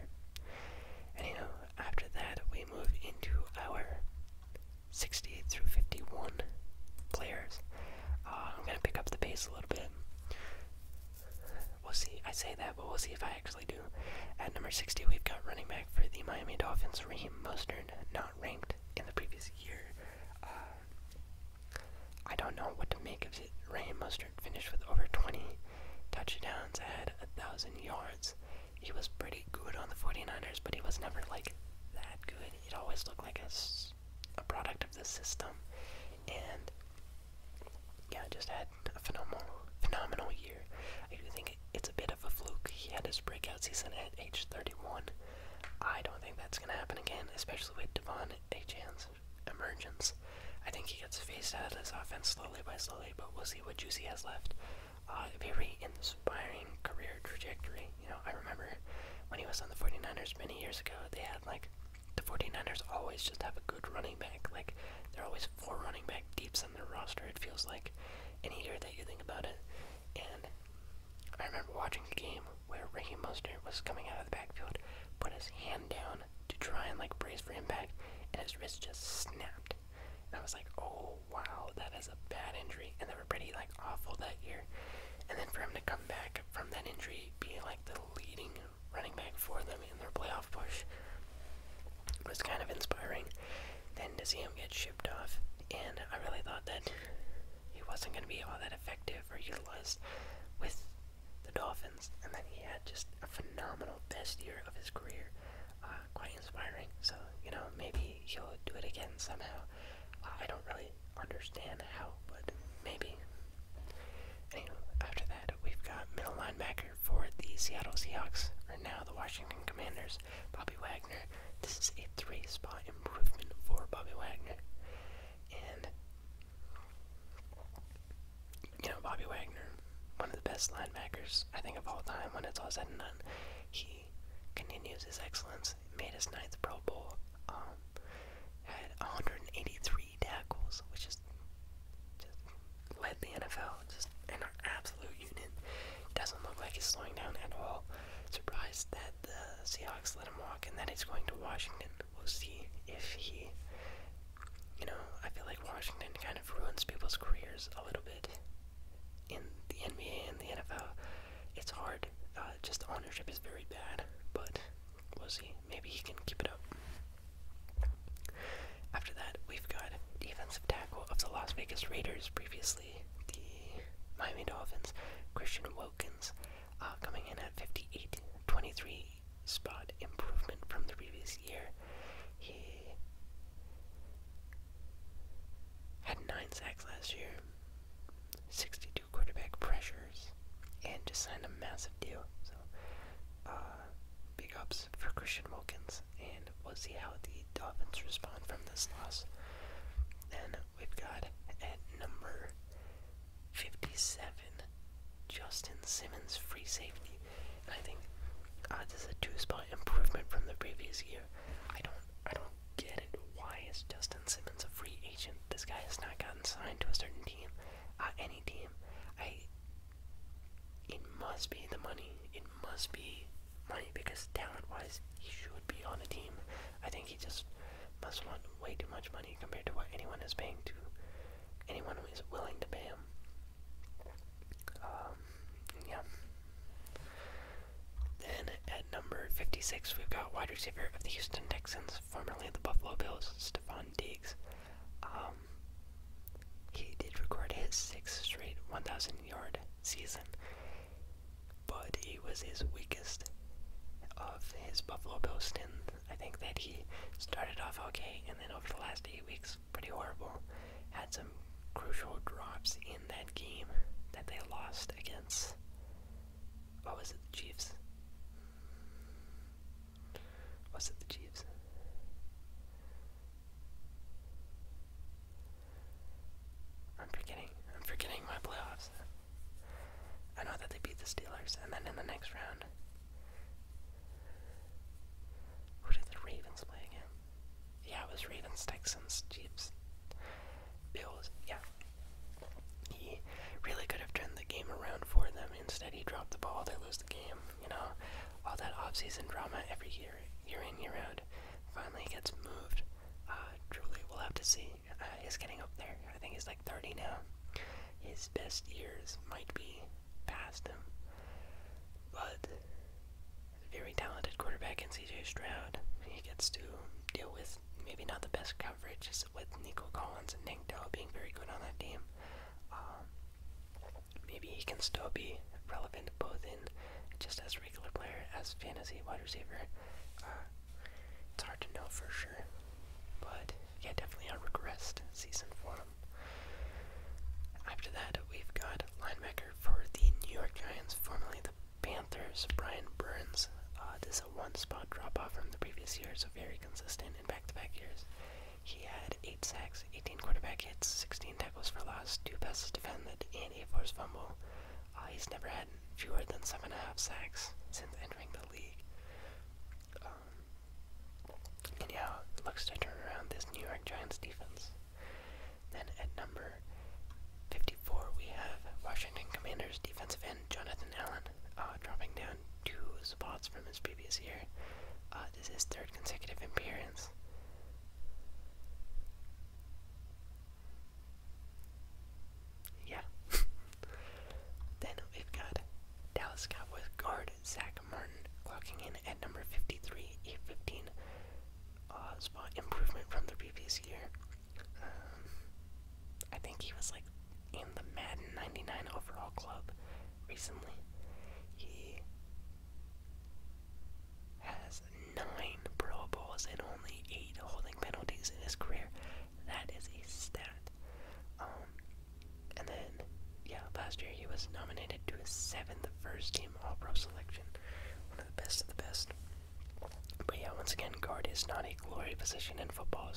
And you know, after that, we move into our 68 through 51 players. Uh, I'm gonna pick up the pace a little bit. We'll see. I say that, but we'll see if I actually do. At number 60, we've got running back for the Miami Dolphins, Raheem Mostert, not ranked in the previous year. Uh, I don't know what to make of it. Raheem Mostert finished with over 20 touchdowns, had 1,000 yards. He was pretty good on the 49ers, but he was never like that good. He'd always look like a a product of the system, and yeah, just had a phenomenal, phenomenal year. I do think it's a bit of a fluke. He had his breakout season at age 31. I don't think that's gonna happen again, especially with Devon Achan's emergence. I think he gets phased out of this offense slowly by slowly, but we'll see what Juicy has left. Uh, very inspiring career trajectory. You know, I remember when he was on the 49ers many years ago, they had like the 49ers always just have a good running back. Like, they're always four running back deeps on their roster, it feels like, any year that you think about it. And I remember watching a game where Ricky Mostert was coming out of the backfield, put his hand down to try and, like, brace for impact, and his wrist just snapped. And I was like, oh, wow, that is a bad injury. And they were pretty, like, awful that year. And then for him to come back from that injury, being, like, the leading running back for them in their playoff push was kind of inspiring. Then to see him get shipped off, and I really thought that he wasn't going to be all that effective or utilized with the Dolphins, and then he had just a phenomenal best year of his career. Uh, quite inspiring. So you know maybe he'll do it again somehow. Uh, I don't really understand how, but maybe after that, we've got middle linebacker for the Seattle Seahawks, or now the Washington Commanders, Bobby Wagner. This is a three spot improvement for Bobby Wagner. And, you know, Bobby Wagner, one of the best linebackers, I think, of all time when it's all said and done. He continues his excellence, made his ninth Pro Bowl, um, had 183 three tackles, which is just led the NFL. Just an absolute unit. Doesn't look like he's slowing down at all. Surprised that the Seahawks let him walk and that he's going to Washington. We'll see if he. You know, I feel like Washington kind of ruins people's careers a little bit. In the NBA and the NFL, it's hard. Uh, just ownership is very bad, but we'll see maybe he can keep it up. After that, we've got defensive tackle of the Las Vegas Raiders, previously the Miami Dolphins, Christian Wilkins, uh, coming in at 58, 23 spot improvement from the previous year. He had nine sacks last year, 62 quarterback pressures and just signed a massive deal. So, uh, big ups for Christian Wilkins, and we'll see how the Dolphins respond from this loss. Then we've got at number 57, Justin Simmons, free safety. I think uh, this is a two-spot improvement from the previous year. I don't, I don't get it. Why is Justin Simmons a free agent? This guy has not gotten signed to a certain team at uh, any team. I it must be the money. It must be money because talent wise he should be on a team. I think he just must want way too much money compared to what anyone is paying to anyone who is willing to pay him. Um, yeah. Then at number 56, we've got wide receiver of the Houston Texans, formerly the Buffalo Bills, Stephon Diggs. Um, he did record his sixth straight 1,000 yard season, but it was his weakest of his Buffalo Bill stint. I think that he started off okay, and then over the last eight weeks, pretty horrible. Had some crucial drops in that game that they lost against. What was it, Chiefs? Was it the Chiefs? I'm forgetting. I'm forgetting my playoffs. I know that they beat the Steelers, and then in the next round, who did the Ravens play again? Yeah, it was Ravens, Texans, Chiefs, Bills. Yeah, he really could have turned the game around for them them. Instead, he dropped the ball, they lose the game. You know, all that offseason drama every year, year in, year out, finally gets moved. Uh, truly, we'll have to see. Uh, he's getting up there. I think he's like 30 now. His best years might be past him. But, very talented quarterback in CJ Stroud. He gets to deal with maybe not the best coverage, with Nico Collins and Nick Dell being very good on that team. Um, maybe he can still be relevant both in just as regular player as fantasy wide receiver. Uh, it's hard to know for sure, but yeah, definitely a regressed season for him. After that, we've got linebacker for the New York Giants, formerly the Panthers, Brian Burns. Uh, this is a one spot drop off from the previous year, so very consistent in back to back years. He had 8 sacks, 18 quarterback hits, 16 tackles for loss, 2 passes defended, and a forced fumble. Uh, he's never had fewer than 7.5 sacks since entering the league. Um, looks to turn around this New York Giants defense. Then at number 54, we have Washington Commanders defensive end Jonathan Allen. Uh, dropping down two spots from his previous year. Uh, this is his third consecutive appearance. Yeah. then we've got Dallas Cowboys guard Zach Martin clocking in at number 53, a 15 uh, spot improvement from the previous year. Um, I think he was like in the Madden 99 overall club recently. He has nine Pro Bowls and only eight holding penalties in his career. That is a stat. Um, and then, yeah, last year he was nominated to his seventh first team All Pro selection. One of the best of the best. But yeah, once again, guard is not a glory position in football,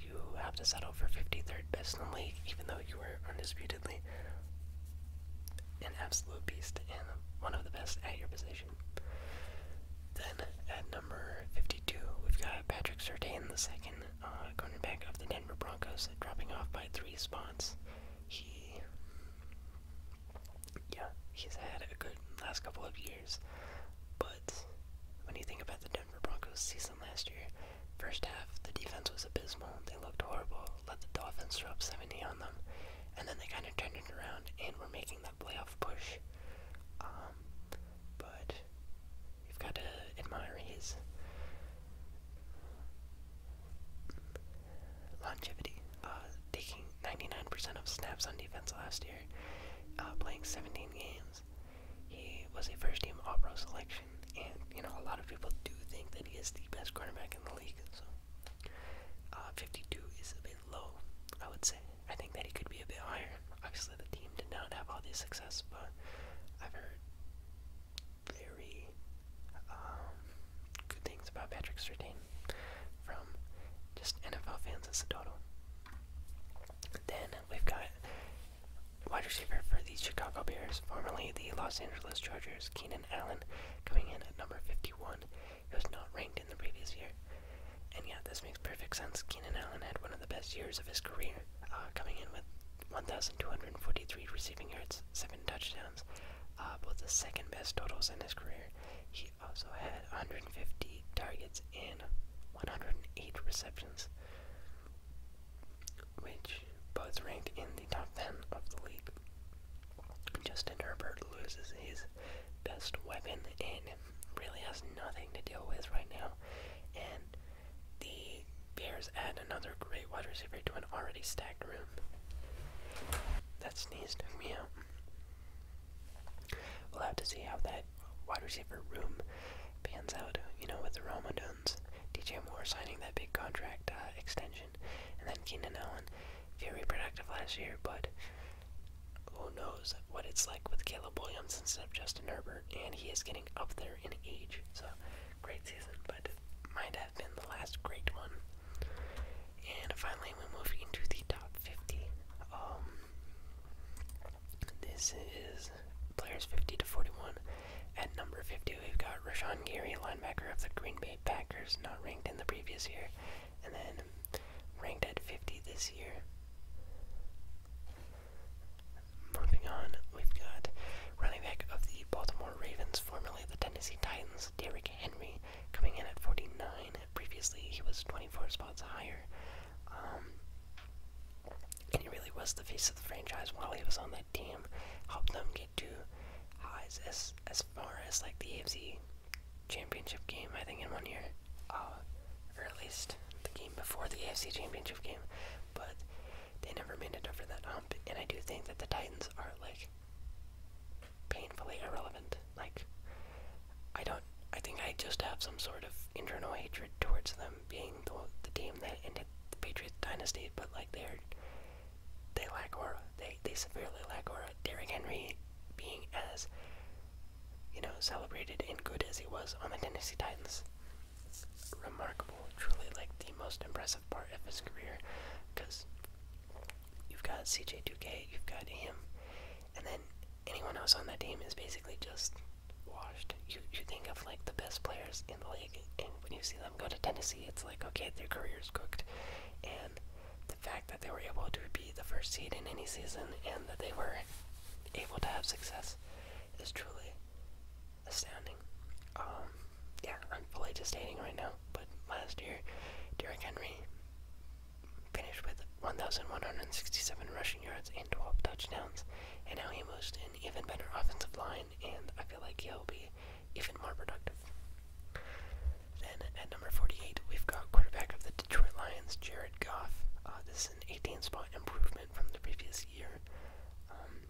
you have to settle for 53rd best in the league, even though you were undisputedly an absolute beast and one of the best at your position. Then at number 52, we've got Patrick Sertain, the second uh, cornerback of the Denver Broncos, dropping off by three spots. He, yeah, he's had a good last couple of years, but when you think about the Denver Broncos, season last year. First half, the defense was abysmal. They looked horrible, let the Dolphins throw up 70 on them, and then they kind of turned it around and were making that playoff push. Um, but you've got to admire his longevity. Uh, taking 99% of snaps on defense last year, uh, playing 17 games games. He was a first team All Pro selection, and you know a lot of people do think that he is the best quarterback in the league. So uh, 52 is a bit low, I would say. I think that he could be a bit higher. Obviously, the team did not have all this success, but I've heard very um, good things about Patrick Sertain from just NFL fans in Sedona. Then we've got Wide receiver for the Chicago Bears, formerly the Los Angeles Chargers, Keenan Allen, coming in at number 51. He was not ranked in the previous year. And yeah, this makes perfect sense. Keenan Allen had one of the best years of his career, uh, coming in with 1,243 receiving yards, 7 touchdowns, uh, both the second best totals in his career. He also had 150 targets and 108 receptions which both ranked in the top 10 of the league. Justin Herbert loses his best weapon and really has nothing to deal with right now. And the Bears add another great wide receiver to an already stacked room. That sneezed took me out. We'll have to see how that wide receiver room pans out, you know, with the Roma Duns, DJ Moore signing that big contract uh, extension, and then Keenan Allen, very productive last year, but who knows what it's like with Caleb Williams instead of Justin Herbert, and he is getting up there in age, so great season, but might have been the last great one. And finally, we move into the top 50. Um, this is players 50 to 41. At number 50, we've got Rashon Gary, linebacker of the Green Bay Packers, not ranked in the previous year, and then ranked at 50 this year. Moving on, we've got running back of the Baltimore Ravens, formerly the Tennessee Titans, Derrick Henry, coming in at 49. Previously, he was 24 spots higher. Um, and he really was the face of the franchise while he was on that team. Helped them get to highs as as far as like the AFC championship game, I think, in one year, uh, or at least the game before the AFC championship game. But they never made it over that hump, and I do think that the Titans are like painfully irrelevant. Like, I don't. I think I just have some sort of internal hatred towards them um, being the, team that ended the Patriots dynasty, but like they're they lack or They they severely lack or Derrick Henry being as you know celebrated and good as he was on the Tennessee Titans, remarkable. Truly, like the most impressive part of his career, because you've got CJ2K, you've got him, and then anyone else on that team is basically just washed. You you think of like the best players in the league, and when you see them go to Tennessee, it's like okay, their career's cooked. And the fact that they were able to be the first seed in any season and that they were able to have success is truly astounding. Um, yeah, I'm fully just hating right now, but last year, Derrick Henry finished with 1,167 rushing yards and 12 touchdowns, and now he moves to an even better offensive line and I feel like he'll be even more productive. Then at number 48, we've got quarterback of the Detroit Lions, Jared Goff. Uh, this is an 18 spot improvement from the previous year. Um,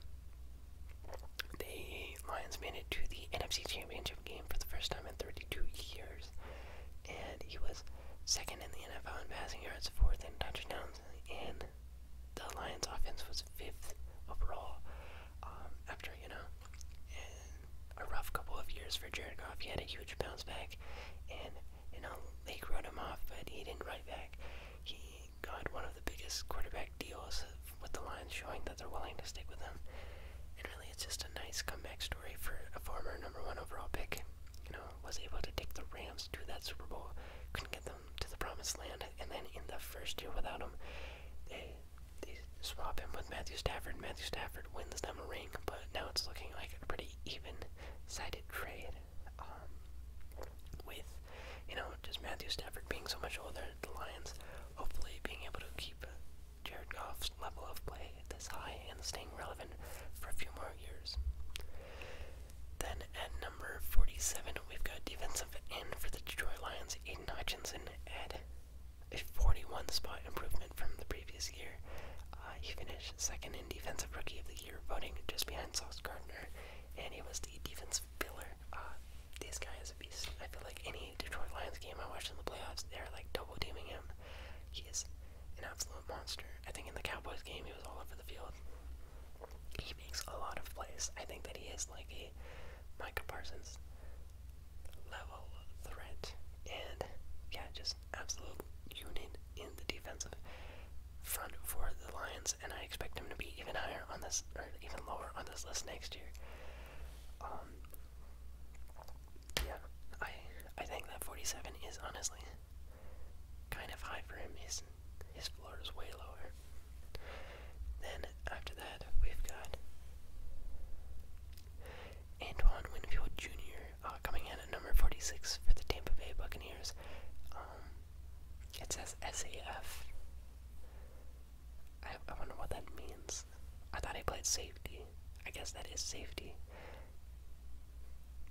the Lions made it to the NFC Championship game for the first time in 32 years, and he was second in the NFL in passing yards, fourth in touchdowns and the Lions' offense was fifth overall. Um, after you know, a rough couple of years for Jared Goff, he had a huge bounce back, and you know they wrote him off, but he didn't write back. He got one of the biggest quarterback deals with the Lions, showing that they're willing to stick with him. And really, it's just a nice comeback story for a former number one overall pick. You know, was able to take the Rams to that Super Bowl, couldn't get the them to the promised land, and then in the first year without him, they they swap him with Matthew Stafford. Matthew Stafford wins them a ring, but now it's looking like a pretty even-sided trade. Um, with you know just Matthew Stafford being so much older, the Lions hopefully being able to keep Jared Goff's level of play this high and staying relevant for a few more years. Then at number 47, we've got defensive end for the Detroit Lions, Aiden Hutchinson, at a 41 spot improvement from the previous year. Uh, he finished second in Defensive Rookie of the Year voting just behind Sauce Gardner, and he was the defensive pillar. Uh, this guy is a beast. I feel like any Detroit Lions game I watched in the playoffs, they're like double teaming him. He is an absolute monster. I think in the Cowboys game, he was all over the field. He makes a lot of plays. I think that he is like a Micah Parsons level threat. And yeah, just absolute unit in the defensive front for the Lions. And I expect him to be even higher on this, or even lower on this list next year. Um, yeah, I I think that 47 is honestly kind of high for him. His his floor is way lower. Then after that, we've got Antoine Winfield Jr. Uh, coming in at number 46 for the Tampa Bay Buccaneers. Um, it says SAF. I, I wonder what that means. I thought he played safety. I guess that is safety.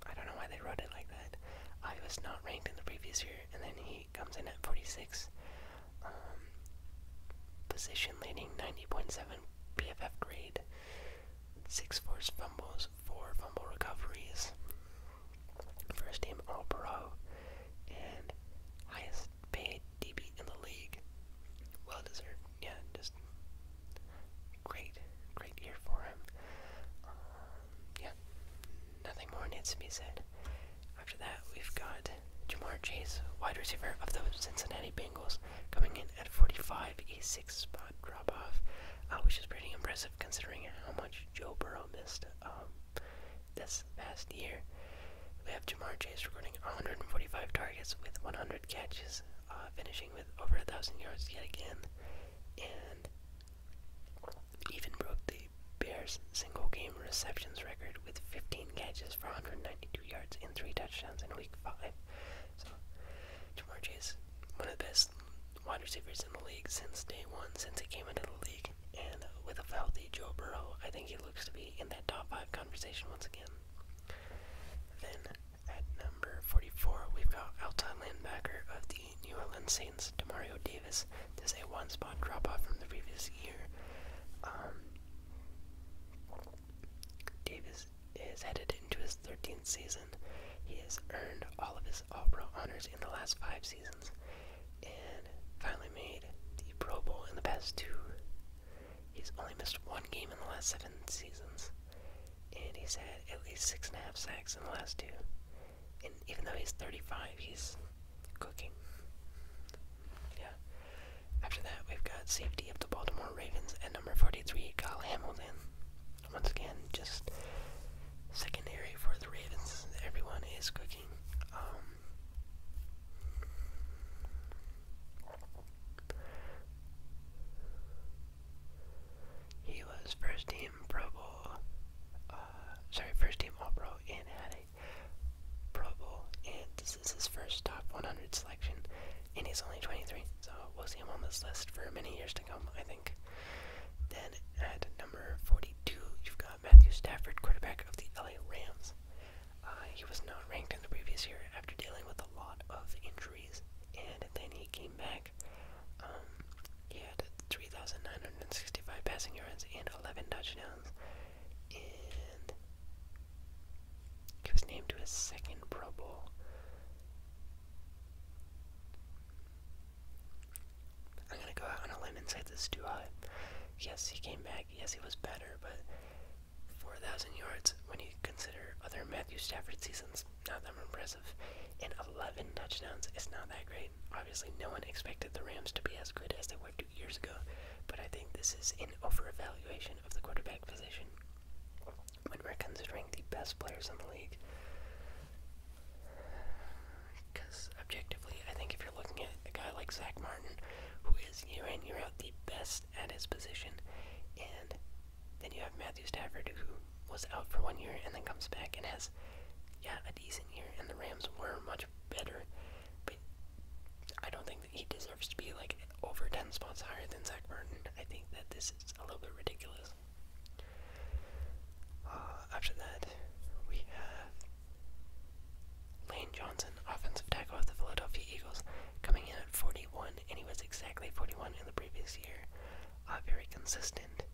I don't know why they wrote it like that. I was not ranked in the previous year, and then he comes in at 46. Um, position leading 90.7 PFF grade. Six forced fumbles, four fumble recoveries. First team All Pro, and highest paid DB in the league. Well deserved. Yeah, just great, great year for him. Um, yeah, nothing more needs to be said. After that, we've got Jamar Chase, wide receiver of the Cincinnati Bengals, coming in at 45, a six spot drop off, uh, which is pretty impressive considering how much Joe Burrow missed um, this past year. We have Jamar Chase recording 145 targets with 100 catches, uh, finishing with over 1,000 yards yet again even broke the Bears' single game receptions record with 15 catches for 192 yards and 3 touchdowns in week 5. So, Jamar Chase, one of the best wide receivers in the league since day one, since he came into the league. And with a healthy Joe Burrow, I think he looks to be in that top 5 conversation once again. Then, at number 44, we've got outside linebacker of the the New Orleans Saints, Demario Davis, does a one spot drop off from the previous year. Um, Davis is headed into his 13th season. He has earned all of his All Pro honors in the last five seasons and finally made the Pro Bowl in the past two. He's only missed one game in the last seven seasons, and he's had at least six and a half sacks in the last two and even though he's 35, he's cooking. Yeah. After that, we've got safety of the Baltimore Ravens at number 43, Kyle Hamilton. Once again, just secondary for the Ravens. Everyone is cooking. Um, he was first team Pro Bowl. Uh, sorry, first team All Pro and had a Pro Bowl. this is his first top 100 selection, and he's only 23, so we'll see him on this list for many years to come, I think. Then at number 42, you've got Matthew Stafford, quarterback of the LA Rams. Uh, he was not ranked in the previous year after dealing with a lot of injuries, and then he came back. Um, he had 3,965 passing yards and 11 touchdowns. And he was named to his second Pro Bowl. I'm gonna go out on a limb and say this is too high. Yes, he came back. Yes, he was better, but 4,000 yards when you consider other Matthew Stafford seasons, not that impressive. And 11 touchdowns it's not that great. Obviously, no one expected the Rams to be as good as they were two years ago, but I think this is an overvaluation of the quarterback position when we're considering the best players in the league. Because objectively, I think if you're looking at a guy like Zach Martin, who is year in, year out the best at his position, and then you have Matthew Stafford, who was out for one year and then comes back and has, yeah, a decent year, and the Rams were much better, but I don't think that he deserves to be like over 10 spots higher than Zach Martin. I think that this is a little bit ridiculous. Uh, after that, we have Lane Johnson, offensive tackle of the Philadelphia Eagles, coming in at 41, and he was exactly 41 in the previous year. Uh, very consistent.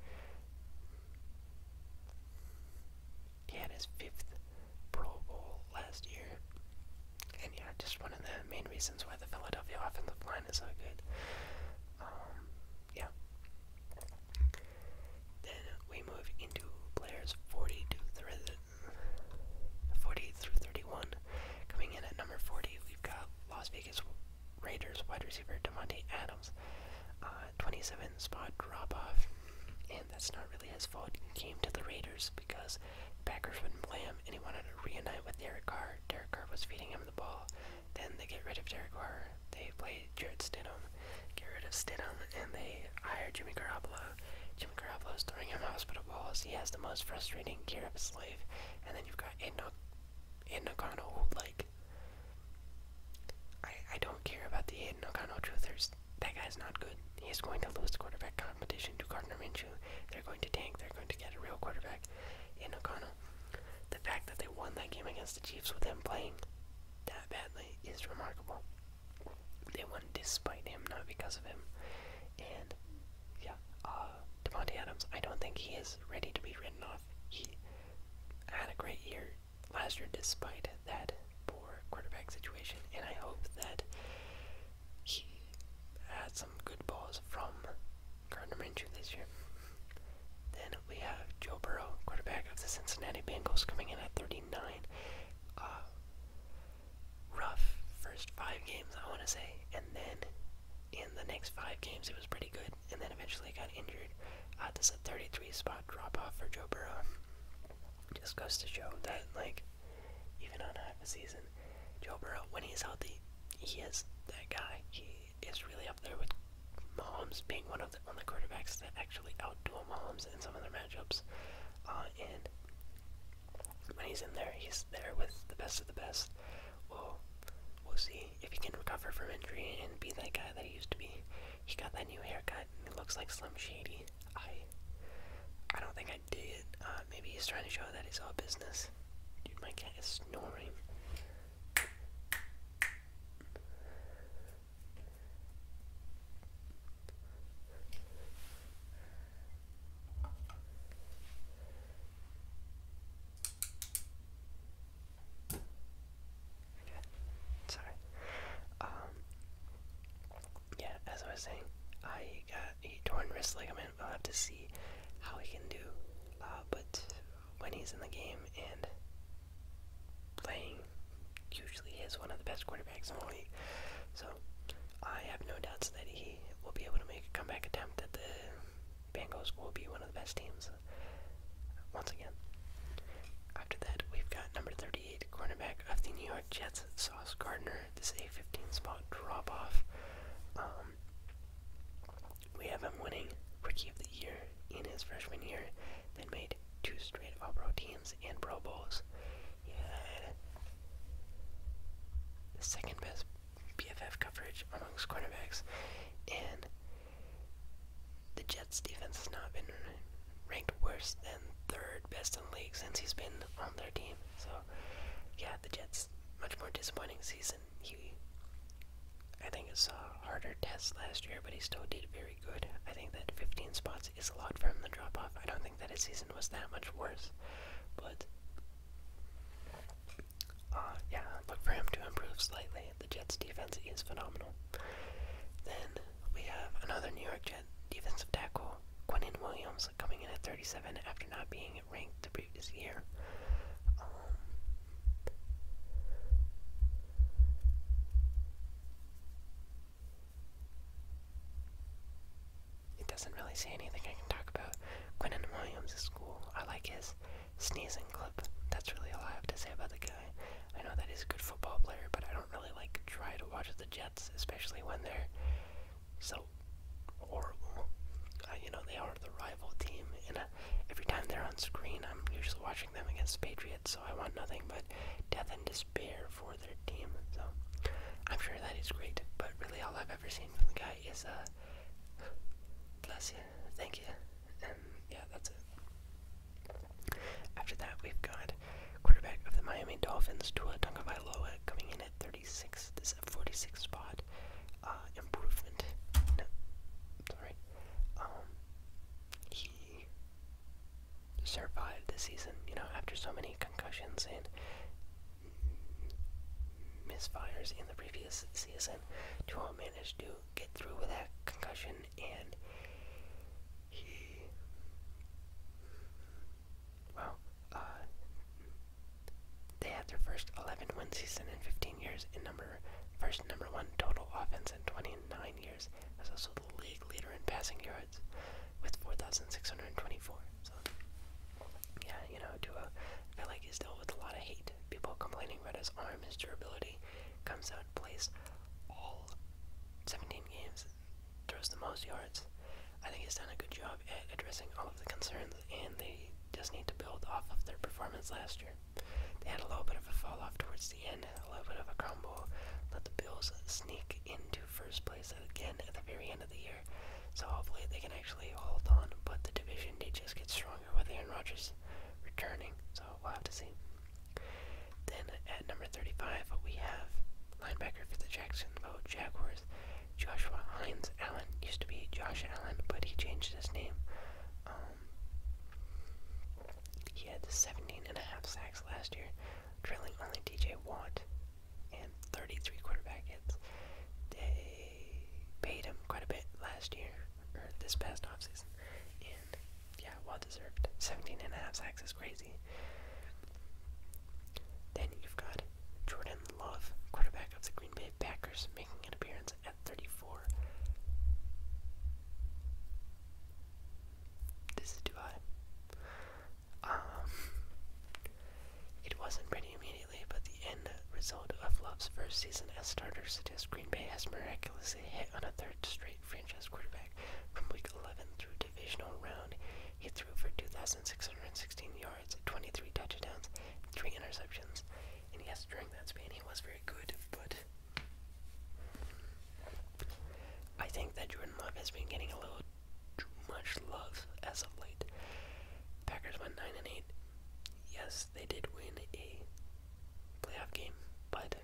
He had his fifth Pro Bowl last year. And yeah, just one of the main reasons why the Philadelphia offensive line is so good. Um, yeah. Then we move into players 40 to th 40 through 31. Coming in at number 40, we've got Las Vegas Raiders wide receiver Demonte Adams. Uh, 27 spot drop off. And that's not really his fault. He came to the Raiders because Packers wouldn't play him, and he wanted to reunite with Derek Carr. Derek Carr was feeding him the ball. Then they get rid of Derek Carr. They play Jared Stidham, get rid of Stidham, and they hire Jimmy Garoppolo. Jimmy Garoppolo is throwing him hospital balls. He has the most frustrating year of his life. And then you've got Aiden, o Aiden O'Connell, like, I don't care about the Hayden O'Connell truthers. That guy's not good. He is going to lose the quarterback competition to Gardner Minshew. They're going to tank. They're going to get a real quarterback in O'Connell. The fact that they won that game against the Chiefs with him playing that badly is remarkable. They won despite him, not because of him. And yeah, uh, Devontae Adams, I don't think he is ready to be written off. He had a great year last year despite that poor quarterback situation, and I hope that he had some good balls from Gardner Minshew this year. Then we have Joe Burrow, quarterback of the Cincinnati Bengals, coming in at 39. Uh, rough first five games, I want to say, and then in the next five games it was pretty good, and then eventually got injured. Uh, this a 33 spot drop off for Joe Burrow. Just goes to show that, like, even on half a season, Joe Burrow, when he's healthy, he is that guy. He is really up there with Mahomes being one of the only quarterbacks that actually outduel Mahomes in some of their matchups. Uh, and when he's in there, he's there with the best of the best. We'll, we'll see if he can recover from injury and be that guy that he used to be. He got that new haircut it looks like Slim Shady. I I don't think I did. Uh, maybe he's trying to show that he's all business. Dude, my cat is snoring. Okay, sorry. Um, yeah, as I was saying, I got a torn wrist ligament. I'll have to see how he can do. Uh, but when he's in the game and playing, usually he is one of the best quarterbacks in the league. So I have no doubts that he will be able to make a comeback attempt That the Bengals will be one of the best teams once again. After that, we've got number 30. 38, cornerback of the New York Jets, Sauce Gardner. This is a 15 spot drop off. Um, we have him winning Rookie of the Year in his freshman year, then made two straight All Pro teams and Pro Bowls. second best BFF coverage amongst cornerbacks, the Jets' defense has not been ranked worse than third best in the league since he's been on their team. So, yeah, the Jets much more disappointing season. He, I think, it's saw harder test last year, but he still did very good. I think that 15 spots is a lot from the drop off. I don't think that his season was that much worse, but. Uh, yeah, look for him to improve slightly the Jets defense is phenomenal. Then we have another New York Jet defensive tackle, Quinnan Williams, coming in at 37 after not being ranked the previous year. Um, it doesn't really say anything I can talk about. Quinnen Williams is I like his sneezing clip. That's really all I have to say about the guy guy. I know that he's a good football player, but I don't really like try to watch the Jets, especially when they're so horrible. Uh, you know, they are the rival team, and uh, every time they're on screen, I'm usually watching them against Patriots, so I want nothing but death and despair for their team. So I'm sure that is great, but really all I've ever seen from the guy is, uh, bless you, thank you, and yeah, that's it. After that, we've got quarterback of the Miami Dolphins, Tua Tagovailoa, coming in at 36. This 46 spot uh, improvement. sorry. Um, he survived the season, you know, after so many concussions and misfires in the previous season. Tua managed to get through with that concussion and he well, uh they had their first 11 win season in 15 years in number first number one total offense in 29 years. That's also the league leader in passing yards with 4,624. So yeah, you know, Tua I like his dealt with a lot of hate. People complaining about his arm, his durability comes out. Road plays all 17 games, throws the most yards. I think he's done a good job at addressing all of the concerns, and they just need to build off of their performance last year. They had a little bit of a fall off towards the end, a little bit of a crumble, let the Bills sneak into first place again at the very end of the year. So hopefully they can actually hold on, but the division did just get stronger with Aaron Rodgers returning, so we'll have to see. Then at number 35, we have linebacker for the Jacksonville Jaguars, Joshua Hines Allen. Used to be Josh Allen, but he changed his name. Um, he had 17 and a half sacks last year, trailing only D.J. Watt, and 33 quarterback hits. They paid him quite a bit last year, or this past offseason, and yeah, well deserved. 17 sacks is crazy. Then you've got Jordan Love, quarterback of the Green Bay Packers, making an appearance at 34. This is too um, it wasn't pretty immediately, but the end result of Love's first season as starter suggests Green Bay has miraculously hit on a third string franchise quarterback. From week 11 through divisional round, he threw for 2,616 yards, 23 touchdowns, 3 interceptions. And yes, during that span, he was very good, but I think that Jordan Love has been getting a little too much love as of late. Packers went 9 and 8. Yes, they did win a playoff game, but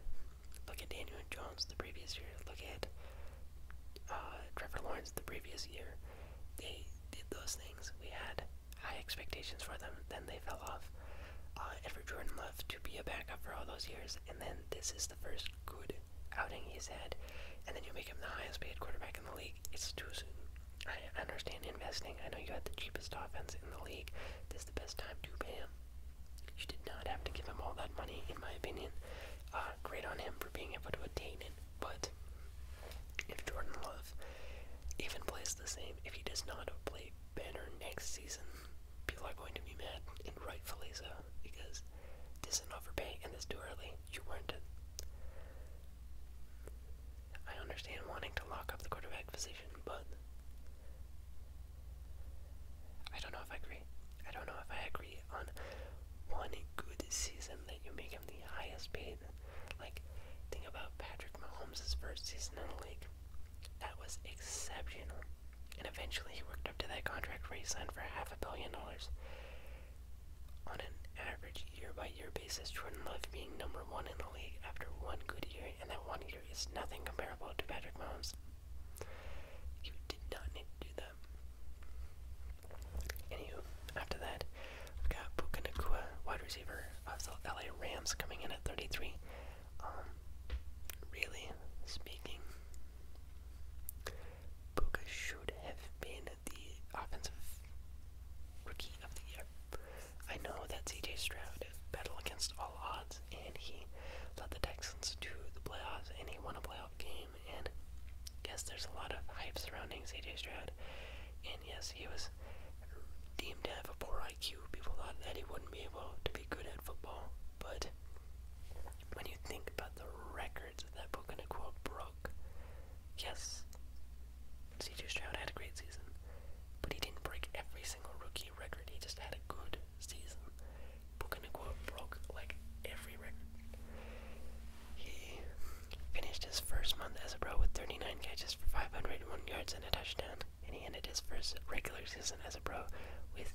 Look at Daniel Jones the previous year. Look at uh, Trevor Lawrence the previous year. They did those things. We had high expectations for them. Then they fell off. Uh, and for Jordan Love to be a backup for all those years, and then this is the first good outing he's had, and then you make him the highest paid quarterback in the league. It's too soon. I understand investing. I know you had the cheapest offense in the league. This is the best time to pay him. You did not have to give him all that money, in my opinion. Uh, great on him for being able to attain it, but if Jordan Love even plays the same, if he does not play Banner next season, people are going to be mad, and rightfully so, because this is an overpay and it's too early. You weren't it. I understand wanting to lock up the quarterback position, but I don't know if I agree. I don't know if I agree on one good season that you make him the highest paid. Like, think about Patrick Mahomes' first season in the league. That was exceptional. And eventually he worked up to that contract where he signed for half a billion dollars. On an average year by year basis, Jordan Love being number one in the league after one good year, and that one year is nothing comparable to Patrick Mahomes. Did not need to do that. Anywho, after that, we've got Puka Nakua, wide receiver of the LA Rams, coming in at 33. Um, really speaking, Puka should have been the offensive rookie of the year. I know that CJ Stroud battle against all odds Texans, and he led the Texans to the playoffs, and he won a playoff game. And yes, there's a lot of hype surrounding CJ Stroud, and yes, he was deemed to have a poor IQ. People thought that he wouldn't be able to be good at football, but when you think about the records that Puka Nakua broke, yes, CJ Stroud had a great season, but he didn't break every single rookie record. He just had a good season. Broken and broke like every record. He finished his first month as a pro with 39 catches for 501 yards and a touchdown, and he ended his first regular season as a pro with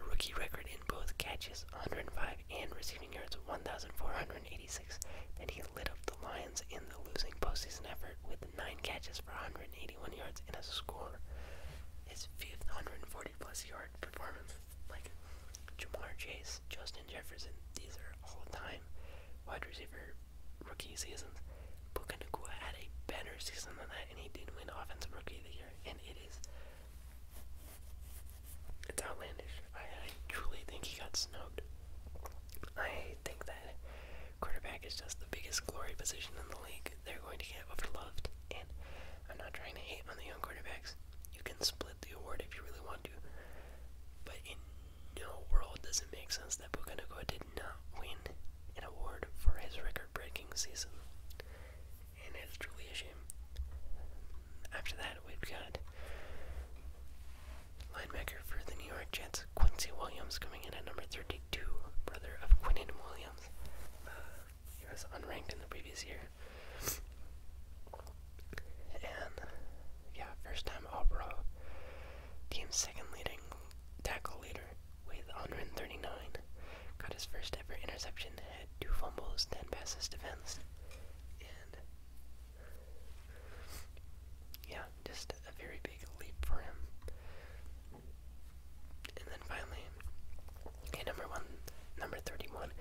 a rookie record in both catches, 105, and receiving yards, 1,486. And he lit up the Lions in the losing postseason effort with 9 catches for 181 yards and a score his fifth 140 plus yard performance. Like Jamar Chase, Justin Jefferson, these are all time wide receiver rookie seasons. Puka Nakua had a better season than that, and he did win Offensive Rookie of Year, and it is. It's outlandish. I, truly think he got snubbed. I think that quarterback is just the biggest glory position in the league. They're going to get overloved, and I'm not trying to hate on the young quarterbacks. You can split the award if you really want to. But in no world does it make sense that Puka Nakua did not win an award for his record breaking season. And it's truly a shame. After that, we've got linebacker for the New York Jets, Quincy Williams, coming in at number 32, brother of Quinnen Williams. Uh, he was unranked in the previous year. And yeah, first time All Pro. Team second leading tackle leader with 139. Got his first ever interception, had two fumbles, 10 passes defense. And yeah, just a very big leap for him. And then finally, okay, number one, number 31,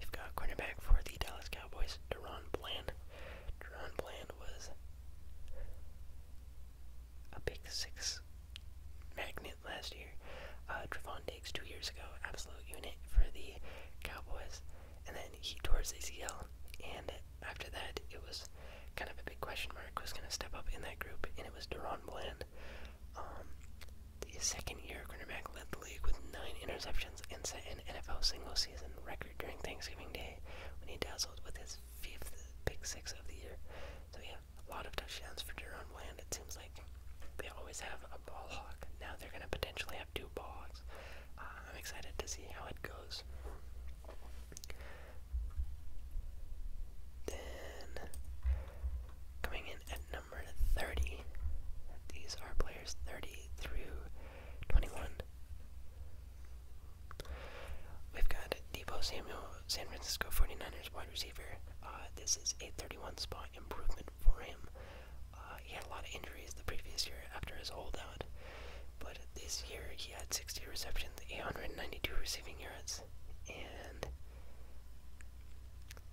you've got cornerback for the Dallas Cowboys, Deron Bland. Deron Bland was a big six magnet last year. Uh, Trevon Diggs two years ago, absolute unit for the Cowboys. And then he tore his ACL, and after that, it was kind of a big question mark who's going to step up in that group, and it was Deron Bland. Um, the second year cornerback led the league with nine interceptions and set an NFL single season record during Thanksgiving Day when he dazzled with his fifth pick six of the year. So, yeah, a lot of touchdowns for Jerome Bland. It seems like they always have a ball hawk. Now they're going to potentially have two ball uh, I'm excited to see how it goes. Then, coming in at number 30. These are players 30 through 21. We've got Debo Samuel, San Francisco 49ers wide receiver. Uh, this is a 31 spot improvement for him. Uh, he had a lot of injuries the previous year after his holdout, but this year he had 60 receptions, 892 receiving yards, and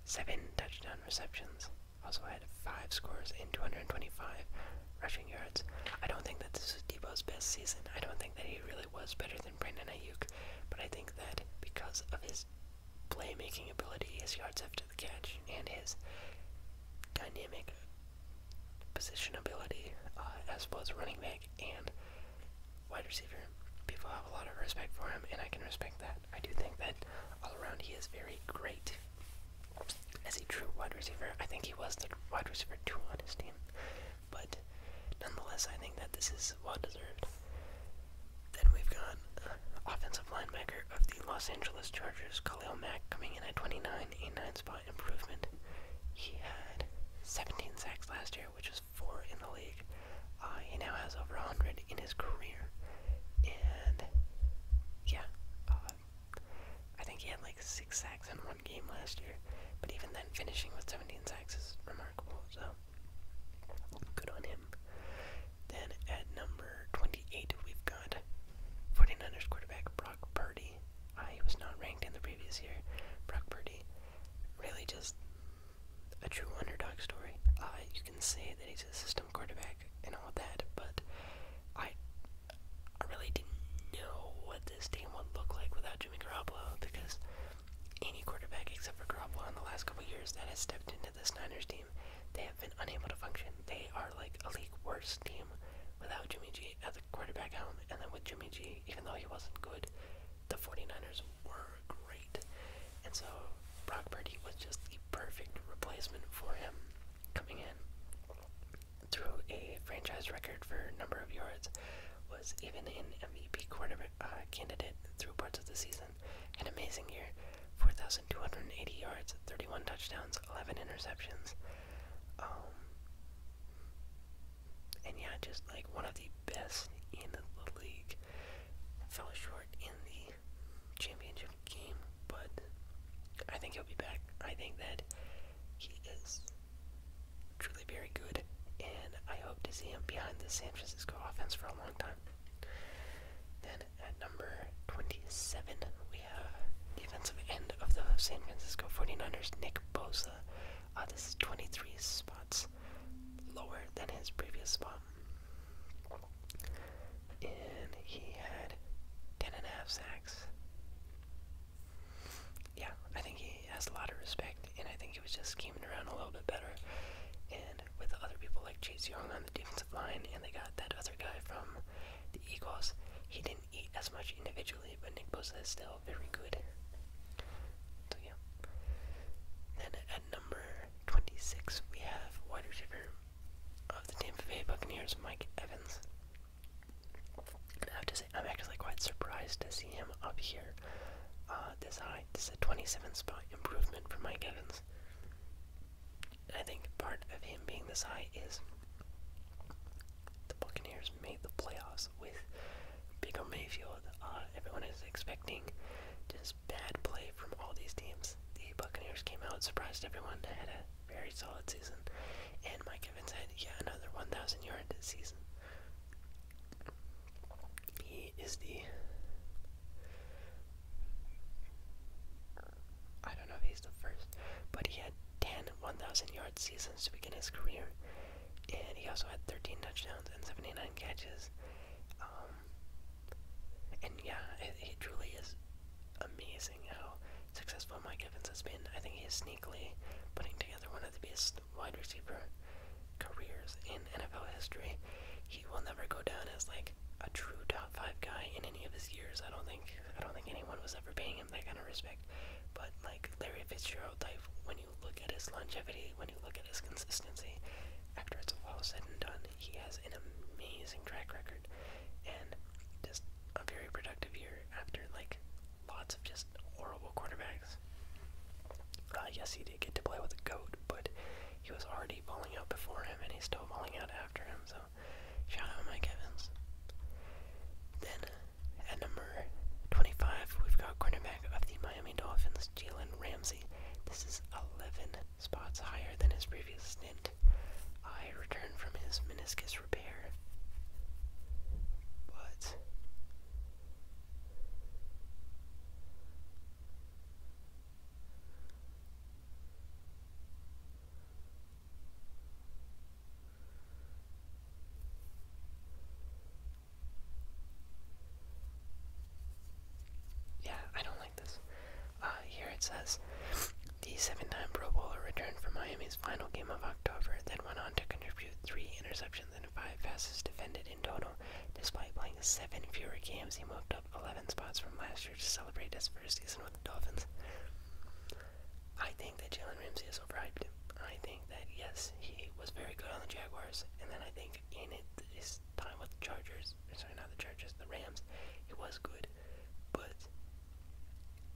Seven touchdown receptions. Also had five scores in 225 rushing yards. I don't think that this was Debo's best season. I don't think that he really was better than Brandon Ayuk, but I think that because of his playmaking ability, his yards after the catch, and his dynamic position ability uh, as well as running back and wide receiver. People have a lot of respect for him, and I can respect that. I do think that all around he is very great as a true wide receiver. I think he was the wide receiver two on his team, but nonetheless, I think that this is well deserved. Then we've got uh, offensive linebacker of the Los Angeles Chargers, Khalil Mack, coming in at 29, a 9 spot improvement. He had 17 sacks last year, which was four in the league. Uh, he now has over 100 in his career. And yeah, uh, I think he had like six sacks in one game last year. But even then, finishing with 17 sacks is remarkable. So good on him. Then at number 28, we've got 49ers quarterback Brock Purdy. Uh, he was not ranked in the previous year. Brock Purdy really just a true underdog story. Uh, you can say that he's a system quarterback and all that, but I, I really didn't know what this team would look like without Jimmy Garoppolo because any quarterback except for Garoppolo in the last couple years that has stepped into the Niners team, they have been unable to function. They are like a league worst team without Jimmy G at the quarterback helm, and then with Jimmy G, even though he wasn't good, the 49ers were great. And so Brock Purdy was just the perfect replacement for him coming in. Through a franchise record for number of yards, was even an MVP uh, candidate through parts of the season. An amazing year, 4,280 yards, 31 touchdowns, 11 interceptions. Um, and yeah, just like one of the best in the league fell short in the championship game, but I think he'll be back. I think that he is truly very good, and I hope to see him behind the San Francisco offense for a long time. Then at number 27, we have defensive end of the San Francisco 49ers, Nick Bosa. Uh, this is 23 spots lower than his previous spot. Um, and he had ten and a half sacks. Yeah, I think he has a lot of respect, and I think he was just scheming around a little bit better. And with other people like Chase Young on the defensive line, and they got that other guy from the Eagles, he didn't eat as much individually, but Nick Bosa is still very good. So yeah. Then at number 26, we have wide receiver of the Tampa Bay Buccaneers, Mike Evans. I have to say, I'm actually quite surprised to see him up here uh, this high. This is a 27 spot improvement for Mike Evans. I think part of him being this high is the Buccaneers made the playoffs with Baker Mayfield. Uh, everyone is expecting just just bad play from all these teams. The Buccaneers came out, surprised everyone, had a very solid season, and Mike Evans had yet another 1,000 yard season. He is the. I don't know if he's the first, but he had 10 1,000 yard seasons to begin his career, and he also had 13 touchdowns and 79 catches. Um, and yeah, it, it truly is amazing how successful Mike Evans has been. I think he is sneakily putting together one of the best wide receiver careers in NFL history. He will never go down as like a true top five guy in any of his years. I don't think I don't think anyone was ever paying him that kind of respect. But like Larry Fitzgerald type, when you look at his longevity, when when look at his consistency, after it's all said and done, he has an amazing track record and just a very productive year after like lots of just horrible quarterbacks. I uh, guess he did get to play with a goat, but he was already balling out before him, and he's still balling out after him. So, shout out Mike Evans. Then at number 25, we've got cornerback of the Miami. Miami Dolphins Jalen Ramsey. This is 11 spots higher than his previous stint. I returned from his meniscus repair. But. Yeah, I don't like this. Uh, here it says, the seven-time Pro Bowler returned from Miami's final game of October, then went on to contribute three interceptions and five passes defended in total. Despite playing seven fewer games, he moved up 11 spots from last year to celebrate his first season with the Dolphins. I think that Jalen Ramsey has overhyped. I think that yes, he was very good on the Jaguars, and then I think in it, his time with the Chargers, sorry, not the Chargers, the Rams, he was good, but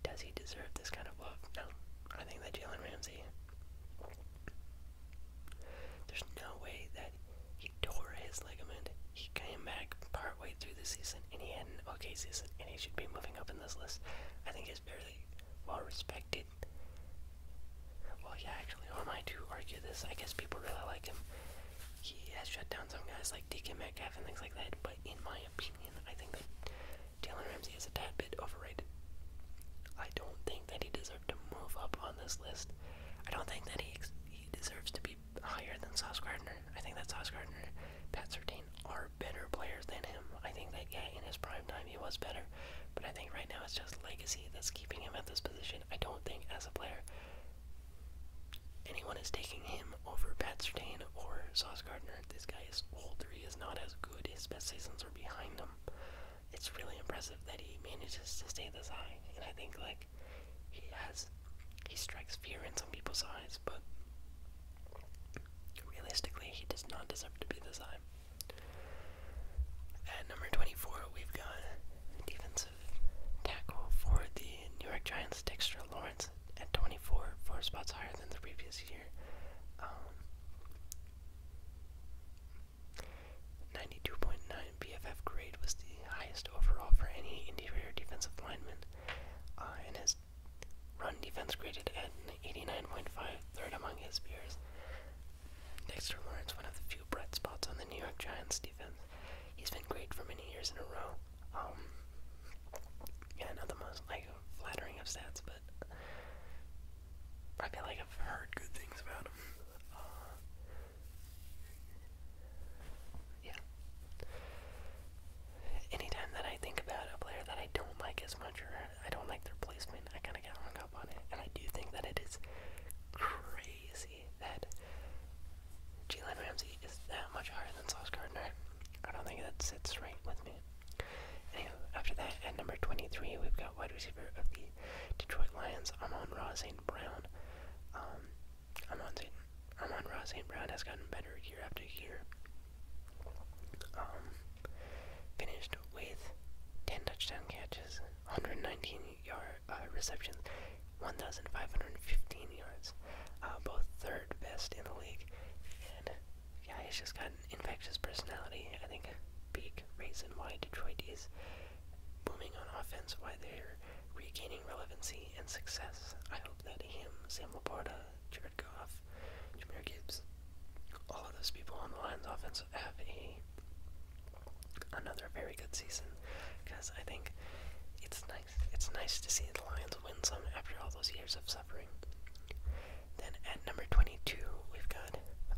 does he deserve this kind of love? No. I think that Jalen Ramsey, there's no way that he tore his ligament. He came back part way through the season, and he had okay season, and he should be moving up in this list. I think he's fairly well respected well, yeah, actually, who am I to argue this? I guess people really like him. He has shut down some guys like Deacon Metcalf and things like that, but in my opinion, I think that Jalen Ramsey is a tad bit overrated. I don't think that he deserved to move up on this list. I don't think that he, he deserves to be higher than Sauce Gardner. I think that Sauce Gardner, Pat Sertain are better players than him. I think that, yeah, in his prime time he was better, but I think right now it's just legacy that's keeping him at this position. I don't think as a player Anyone is taking him over Pat Sertain or Sauce Gardner. This guy is older. He is not as good. His best seasons are behind him. It's really impressive that he manages to stay this high. And I think like he has, he strikes fear in some people's eyes, but realistically, he does not deserve to be this high. At number 24, we've got Stephen tackle for the New York Giants, Dexter Lawrence, at 24, four spots higher than the previous year. Um, 92.9 BFF grade was the highest overall for any interior defensive lineman, uh, and his run defense graded at 89.5, third among his peers. Dexter Lawrence, one of the few bright spots on the New York Giants He's been great for many years in a row. Um, yeah, not the most like flattering of stats, but I feel like I've heard good things about him. Uh, yeah. Anytime that I think about a player that I don't like as much or I don't like their placement, I kind of get hung up on it, and I do think that it is crazy Ramsey that Jalen Ramsey is that much higher than Sauce Gardner. I don't think that sits right with me. Anyway, after that, at number 23, we've got wide receiver of the Detroit Lions, Amon Ross St. Brown. Um, Amon, St. Amon Ross St. Brown has gotten better year after year. Um, finished with 10 touchdown catches, 119 yard uh, receptions, 1,515 yards, uh, both third best in the league. And yeah, he's just got an infectious personality. I think big reason why Detroit is booming on offense, why they're regaining relevancy and success. I hope that him, Sam Laporta, Jared Goff, Jameer Gibbs, all of those people on the Lions offense have a another very good season because I think it's nice. It's nice to see the Lions win some after all those years of suffering. Then at number 22, we've got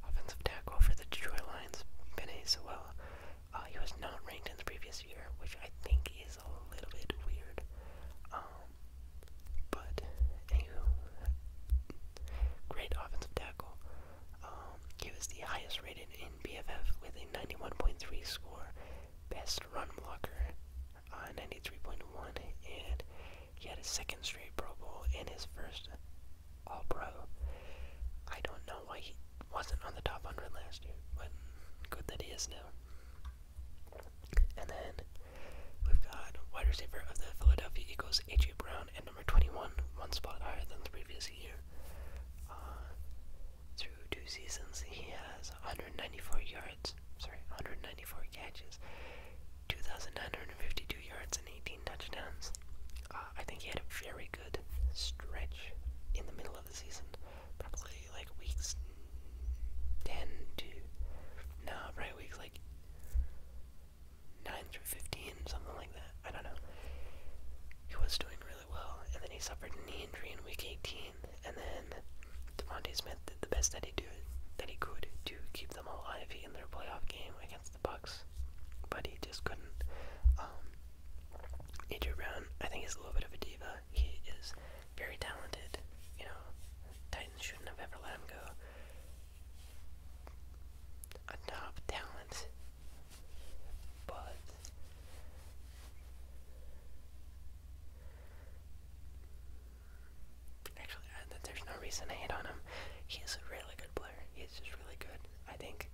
offensive tackle for the Detroit Lions, Benny Sewell. Uh, he was not ranked in the previous year, which I think is a little bit weird. Um, but anywho, great offensive tackle. Um, he was the highest rated in BFF with a 91.3 score, best run blocker on uh, 93.1, and he had a second straight Pro Bowl and his first All Pro. I don't know why he wasn't on the top 100 last year, but good that he is now. And then we've got wide receiver of the Philadelphia Eagles, A.J. Brown, and number 21, one spot higher than the previous year. Uh, through two seasons, he has 194 yards, sorry, 194 catches, 2,952 yards, and 18 touchdowns. Uh, I think he had a very good stretch in the middle of the season, probably like weeks 10 to no, probably weeks like 9 through 15, something like that. I don't know. He was doing well, and then he suffered a knee injury in Week 18, and then Devontae Smith did the best that he could to keep them alive in their playoff game against the Bucks, but he just couldn't. Um, Brown, I think, is a little bit of a diva. He is very talented. You know, Titans shouldn't have ever let him go. A top talent but actually, there's no reason to hate on him. He's a really good player. He's just really good. I think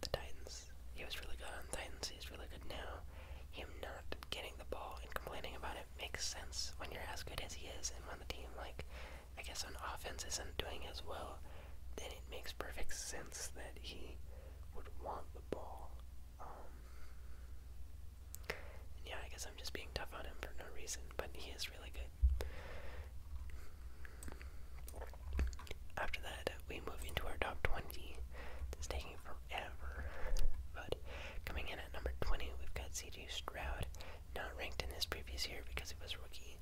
the Titans. He was really good on Titans. He's really good now. Him not getting the ball and complaining about it makes sense when you're as good as he is, and when the team, like, I guess, on offense isn't doing as well it makes perfect sense that he would want the ball. Um, yeah, I guess I'm just being tough on him for no reason, but he is really good. After that, we move into our top 20. It's taking forever, but coming in at number 20, we've got CJ Stroud, not ranked in this previous year because he was rookie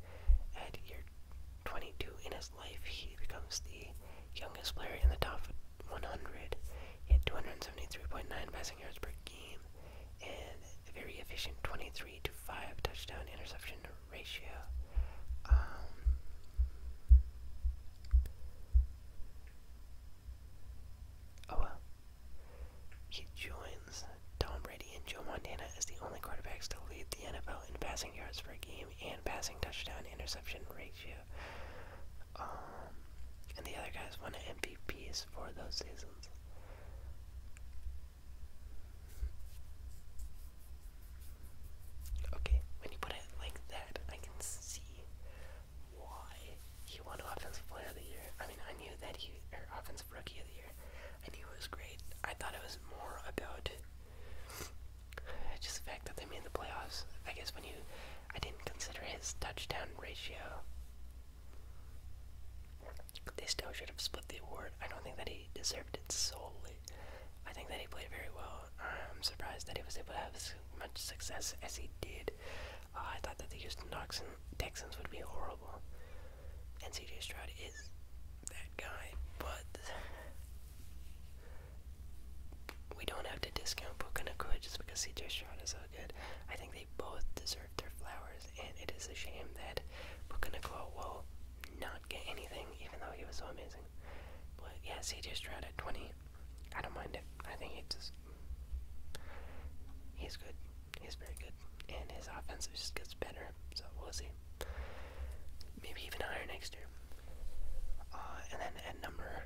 at year 22 in his life, he becomes the youngest player in the top 100. He had 273.9 passing yards per game and a very efficient 23 to 5 touchdown interception ratio. Um, oh well. He joins Tom Brady and Joe Montana as the only quarterbacks to lead the NFL in passing yards per game and passing touchdown interception ratio. Um, and the other guys won MVPs for those seasons. Okay, when you put it like that, I can see why he won Offensive Player of the Year. I mean, I knew that he, or Offensive Rookie of the Year, I knew it was great. I thought it was more about just the fact that they made the playoffs. I guess when you, I didn't consider his touchdown ratio. They still should have split the award. I don't think that he deserved it solely. I think that he played very well. I'm surprised that he was able to have as much success as he did. Uh, I thought that the Houston Texans would be horrible. And CJ Stroud is that guy, but we don't have to discount Puka Nakua just because CJ Stroud is so good. I think they both deserve their flowers, and it is a shame that Puka Nakua will not get anything, even though he was so amazing. But yeah, CJ Stroud at 20, I don't mind it. I think he just. He's good. He's very good. And his offense just gets better, so we'll see maybe even higher next year. Uh, and then at number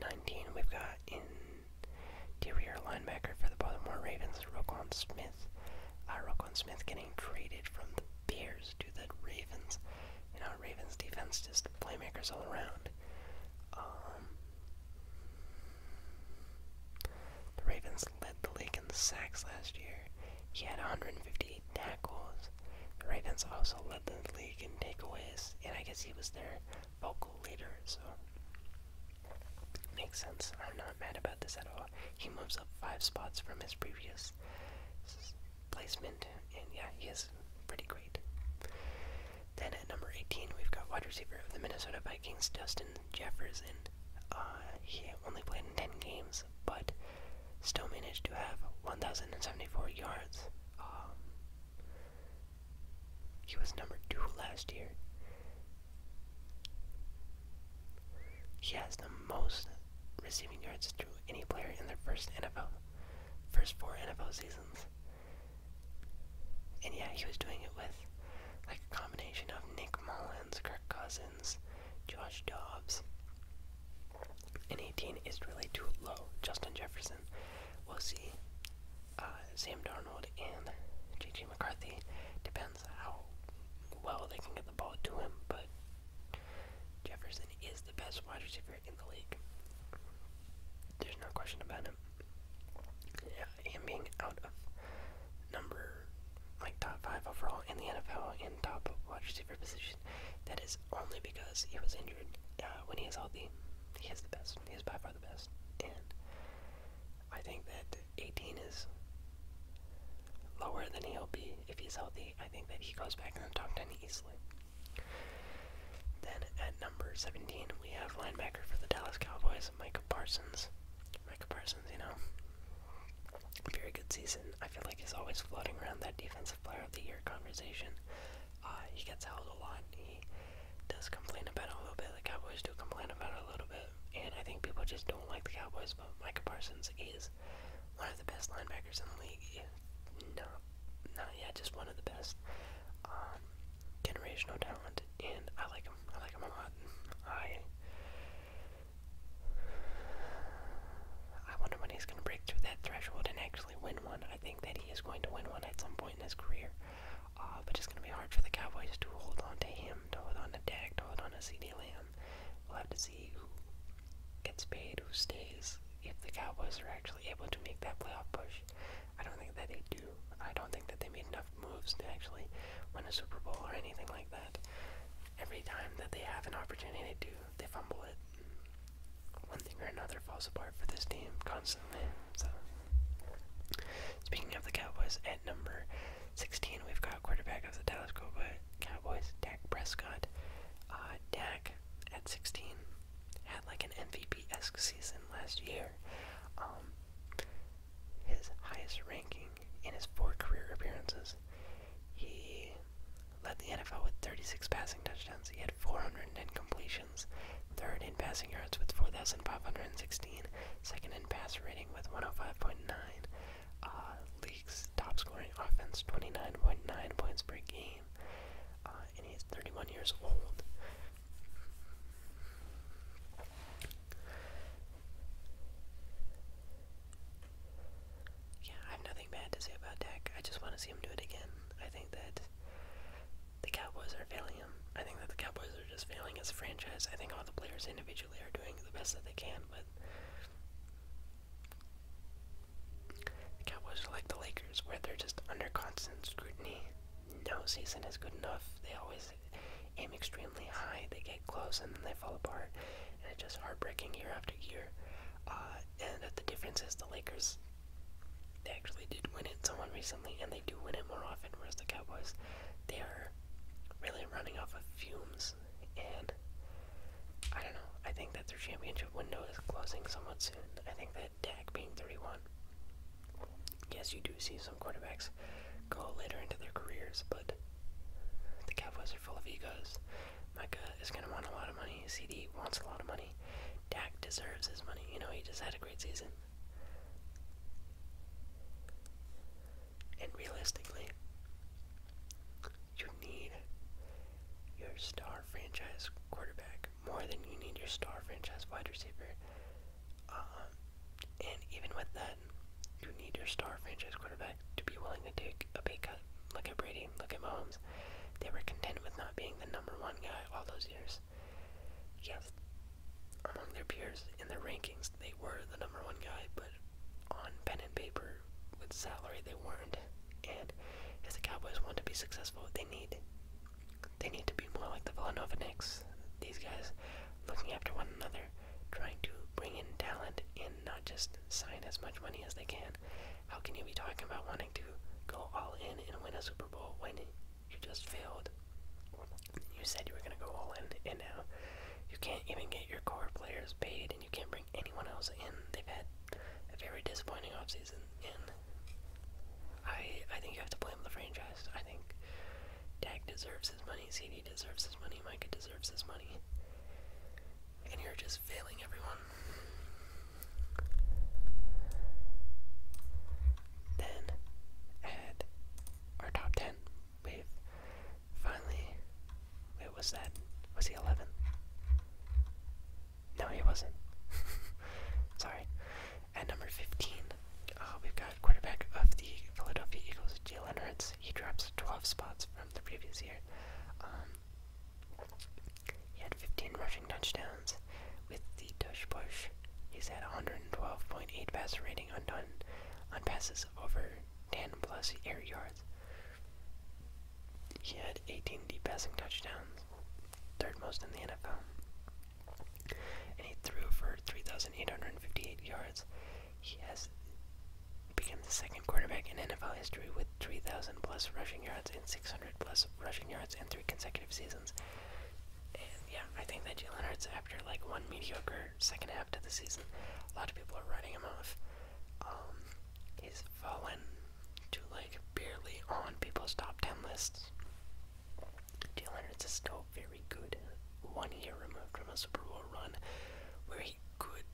19, we've got interior linebacker for the Baltimore Ravens, Roquan Smith. Uh, Smith getting traded from the Bears to the Ravens. You know, Ravens defense just playmakers all around. Um, the Ravens led the league in sacks last year. He had 158 tackles. The Ravens also led the league in takeaways, and I guess he was their vocal leader, so makes sense. I'm not mad about this at all. He moves up five spots from his previous placement, and yeah, he's pretty great. Then at number 18, we've got wide receiver of the Minnesota Vikings, Justin Jeffers, and uh, he only played in 10 games, but still managed to have 1,074 yards. Um, he was number two last year. He has the most receiving yards through any player in their first NFL, first four NFL seasons. And yeah, he was doing it with like a combination of Nick Mullins, Kirk Cousins, Josh Dobbs. And 18 is really too low. Justin Jefferson, we'll see. Uh, Sam Darnold and J.J. McCarthy depends how well they can get the ball to him, but Jefferson is the best wide receiver in the league. There's no question about it. Yeah, him being out of number like top five overall in the NFL in top wide receiver position. That is only because he was injured. Uh, when he is healthy, he is the best. He is by far the best, and I think that 18 is lower than he'll be if he's healthy. I think that he goes back in the top 10 easily. Then at number 17, we have linebacker for the Dallas Cowboys, Micah Parsons. Micah Parsons, you know, very good season. I feel like he's always floating around that defensive player of the year conversation. Uh, he gets held a lot. He does complain about it a little bit. The Cowboys do complain about it a little bit. And I think people just don't like the Cowboys, but Micah Parsons is one of the best linebackers in the league. No, not yet, just one of the best. Um, generational talent, and I like him. I like him a lot. I I wonder when he's going to break through that threshold and actually win one. I think that he is going to win one at some point in his career. Uh, but it's going to be hard for the Cowboys to hold on to him, to hold on to Dak, to hold on to CD Lamb. We'll have to see who gets paid, who stays, if the Cowboys are actually able to make that playoff push. I don't think that they do. I don't think that they made enough moves to actually win a Super Bowl or anything like that. Every time that they have an opportunity to they fumble it. One thing or another falls apart for this team constantly. So, speaking of the Cowboys, at number 16, we've got quarterback of the Dallas Cowboys, Dak Prescott. Uh, Dak at 16 had like an MVP esque season last year. Um, his highest ranking in his four career appearances. He led the NFL with 36 passing touchdowns. He had 410 completions, third in passing yards with 4,516, second in pass rating with 105.9. Uh, league's top scoring offense, 29.9 points per game. Uh, and he's 31 years old. Yeah, I have nothing bad to say about Dak. I just want to see him do it again. I think that the Cowboys are failing him. I think that the Cowboys are just failing as a franchise. I think all the players individually are doing the best that they can, but the Cowboys are like the Lakers, where they're just under constant scrutiny. No season is good enough. They always aim extremely high, they get close, and then they fall apart and it's just heartbreaking year after year. Uh, and the difference is the Lakers, they actually did win it someone recently, and they do win it more often, whereas the Cowboys, they are really running off of fumes. And I don't know, I think that their championship window is closing somewhat soon. I think that Dak being 31, yes, you do see some quarterbacks go later into their careers, but the Cowboys are full of egos. Micah is going to want a lot of money. CD wants a lot of money. Dak deserves his money. You know, he just had a great season. And realistically, you need your star franchise quarterback more than you need your star franchise wide receiver. Uh, and even with that, you need your star franchise quarterback to be willing to take a big cut at look at Brady, look at Mahomes. They were content with not being the number one guy all those years. Yes, among their peers in their rankings, they were the number one guy, but on pen and paper with salary, they weren't. And if the Cowboys want to be successful, they need they need to be more like the Villanova Knicks. These guys looking after one another, trying to bring in talent and and not just sign as much money as they can. How can you be talking about wanting to go all in and win a Super Bowl when you just failed? You said you were going to go all in, and now you can't even get your core players paid, and you can't bring anyone else in. They've had a very disappointing offseason, and I, I think you have to blame the franchise. I think Dak deserves his money, CD deserves his money, Micah deserves his money and you're just failing everyone. Then add our top 10. We've finally. Wait, was that? Was he 11? No, he wasn't. Sorry. At number 15, uh, we've got quarterback of the Philadelphia Eagles, Jalen Hurts. He drops 12 spots from the previous year. Um, he had 15 rushing touchdowns with the tush push. He's had 112.8 passer rating undone on passes over 10 plus air yards. He had 18 deep passing touchdowns, third most in the NFL. And he threw for 3,858 yards. He has he became the second quarterback in NFL history with 3,000 plus rushing yards and 600 plus rushing yards in three consecutive seasons. And yeah, I think that Jalen Hurts, after like one mediocre second half to the season, a lot of people are writing him off. Um, he's fallen to like barely on people's top 10 lists. Jalen Hurts is still very good. One year removed from a Super Bowl run where he he could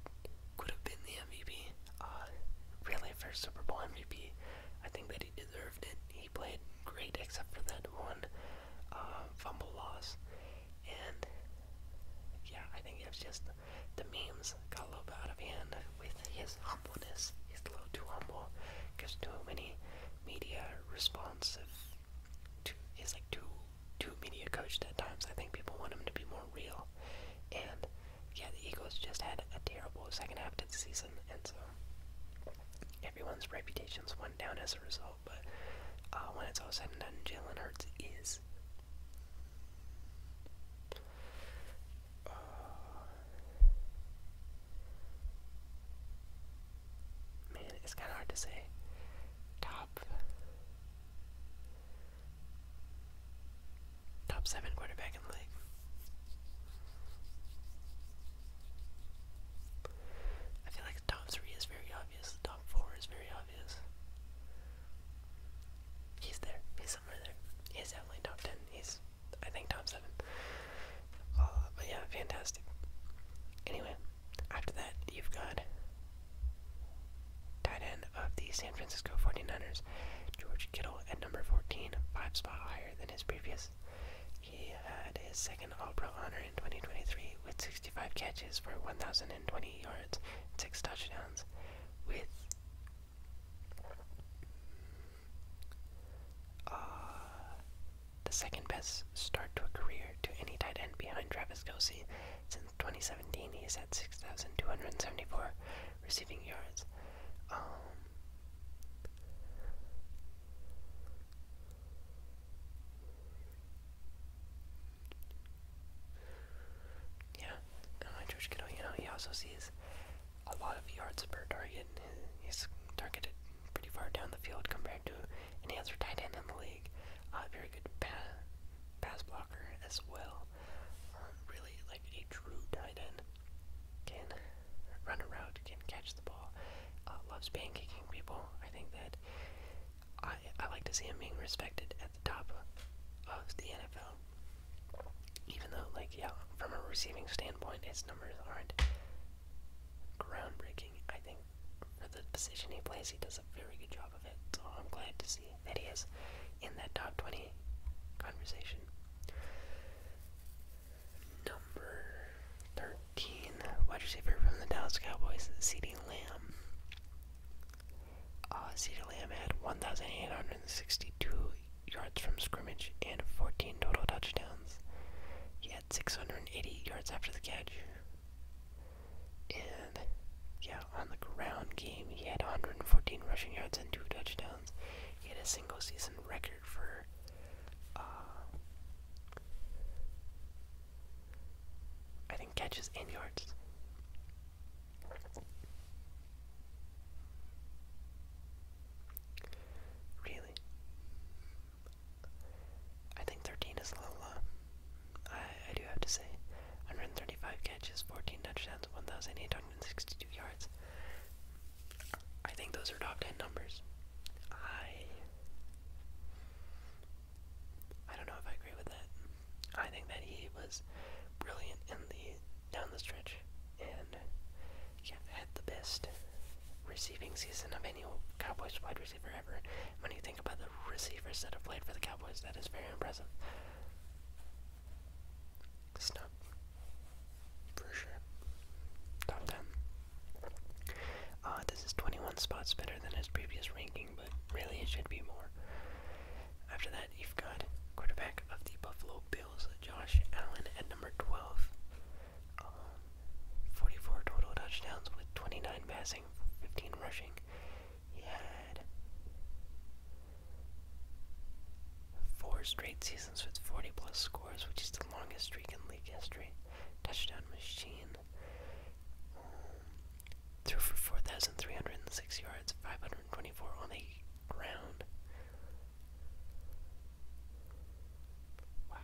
could have been the MVP. Uh, really, for Super Bowl MVP, I think that he deserved it. He played great, except for that one uh, fumble loss. And yeah, I think it was just the memes got a little bit out of hand with his humbleness. He's a little too humble, gives too many media responsive. To, he's like too too media coached at times. I think people want him to be more real, and yeah, the Eagles just had a terrible second half to the season, and so everyone's reputations went down as a result. But uh, when it's all said and done, Jalen Hurts is. Uh, man, it's kind of hard to say. Top top seven quarterback in the league. I feel like top three is very obvious. top four is very obvious. He's there. He's somewhere there. He's definitely top ten. He's, I think, top seven. Uh, yeah, fantastic. Anyway, after that, you've got Tight end of the San Francisco 49ers, George Kittle at number 14, five spot higher than his previous. He had his second All Pro honor in 2023 with 65 catches for 1,020 yards six touchdowns, with uh, the second best start to a career to any tight end behind Travis Kelsey since 2017, he has had 6,274 receiving yards. Um, yeah, George Kittle, you know, he also sees a lot of yards per target. He's targeted pretty far down the field compared to any other tight end in the league. Uh, very good pass blocker. Walker as well aren't really like a true tight end. Can run a route, can catch the ball, uh, loves pancake-kicking people. I think that I, I like to see him being respected at the top of the NFL. Even though, like, yeah, from a receiving standpoint, his numbers aren't groundbreaking. I think for the position he plays, he does a very good job of it. So I'm glad to see that he is in that top 20 conversation. Number 13, wide receiver from the Dallas Cowboys, CeeDee Lamb. Uh, CeeDee Lamb had 1,862 yards from scrimmage and 14 total touchdowns. He had 680 yards after the catch. And yeah, on the ground game, he had 114 rushing yards and two touchdowns. He had a single season record for uh, I think catches and yards. Really? I think 13 is a little low. I, I do have to say. 135 catches, 14 touchdowns, 1,800 I think those are top 10 numbers. I I don't know if I agree with that. I think that he was brilliant in the down the stretch and had the best receiving season of any Cowboys wide receiver ever. When you think about the receivers that have played for the Cowboys, that is very impressive snub. For sure. Top 10. Uh, this is 21 spots better than his previous ranking, but really it should be more. After that, you've got quarterback of the Buffalo Bills, Josh Allen, at number 12. Um, 44 total touchdowns with 29 passing, 15 rushing had four straight seasons with 40 plus scores, which is the longest streak in league history. Touchdown machine. Um, threw for 4,306 yards, 524 on the ground. Wow.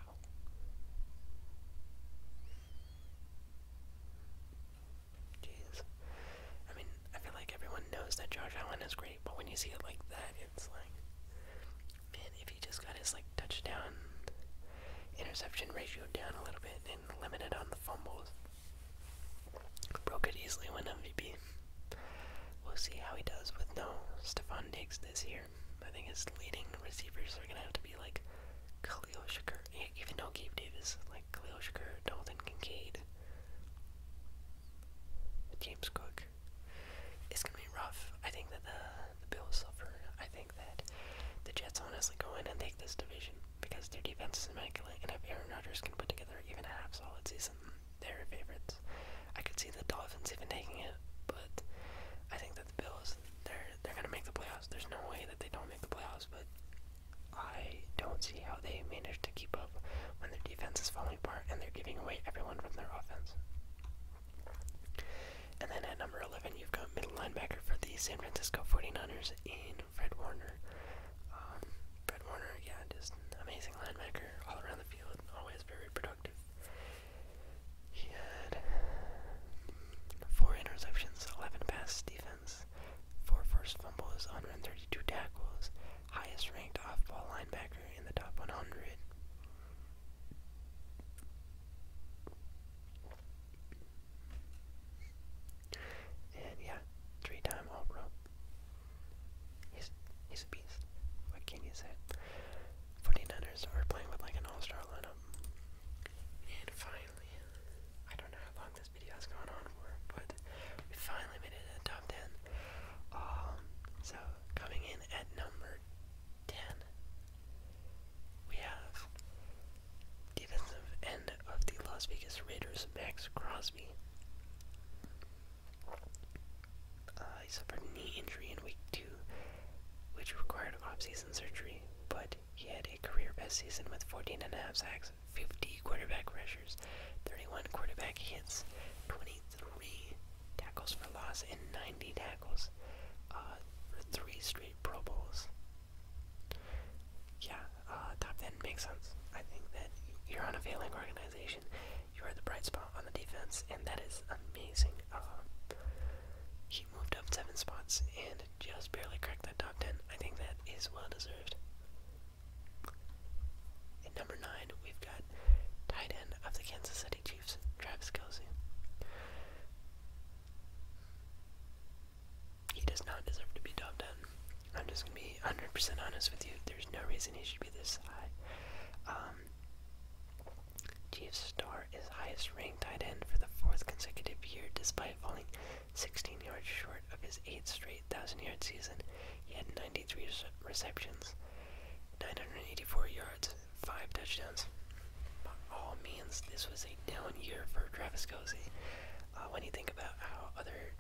Jeez. I mean, I feel like everyone knows that Josh Allen is great, but when you see it like that, it's like, man, if he just got his like touchdown interception ratio down a little bit and limited on the fumbles, broke it easily win MVP. We'll see how he does with no Stephon Diggs this year. I think his leading receivers are gonna have to be like Khalil Shakur, even though Gabe Davis, like Khalil Shakur, Dalton Kincaid, James Cook. It's gonna be rough. I think that the the Bills suffer. I think that the Jets honestly go in and take this division because their defense is immaculate, and if Aaron Rodgers can put together even a half solid season, they're favorites. I could see the Dolphins even taking it, but I think that the Bills they're they're gonna make the playoffs. There's no way that they don't make the playoffs, but I don't see how they manage to keep up when their defense is falling apart and they're giving away everyone from their offense. And then at number 11, you've got middle linebacker for the San Francisco 49ers in Fred Warner. Um, Fred Warner, yeah, just amazing linebacker all around the field, always very productive. He had four interceptions, 11 pass defense, Four first four forced fumbles, 132 tackles, highest ranked off-ball linebacker in the top 100. And yeah, three-time All-Pro. He's he's a beast. What can you say? 49ers are playing with like an all-star lineup. And finally, I don't know how long this video on but we finally made it to the top 10. Um, so, coming in at number 10, we have defensive end of the Las Vegas Raiders, Max Crosby. Uh, he suffered a knee injury in week 2, which required off surgery, but he had a career best season with 14 sacks. 50 quarterback pressures, 31 quarterback hits, 23 tackles for loss, and 90 tackles uh, for three straight Pro Bowls. Yeah, uh, top 10 makes sense. I think that you're on a failing organization. You are the bright spot on the defense, and that is amazing. Uh, he moved up seven spots and just barely cracked that top 10. I think that is well deserved. At number nine, we've got tight end of the Kansas City Chiefs, Travis Kelsey. He does not deserve to be top 10. I'm just going to be 100% honest with you. There's no reason he should be this high. Um, Chiefs star is highest ranked tight end for the fourth consecutive year despite falling 16 yards short of his eighth straight 8,000 yard season, he had 93 receptions, 984 yards, 5 touchdowns. all means, this was a down year for Travis Kelsey. Uh, when you think about how other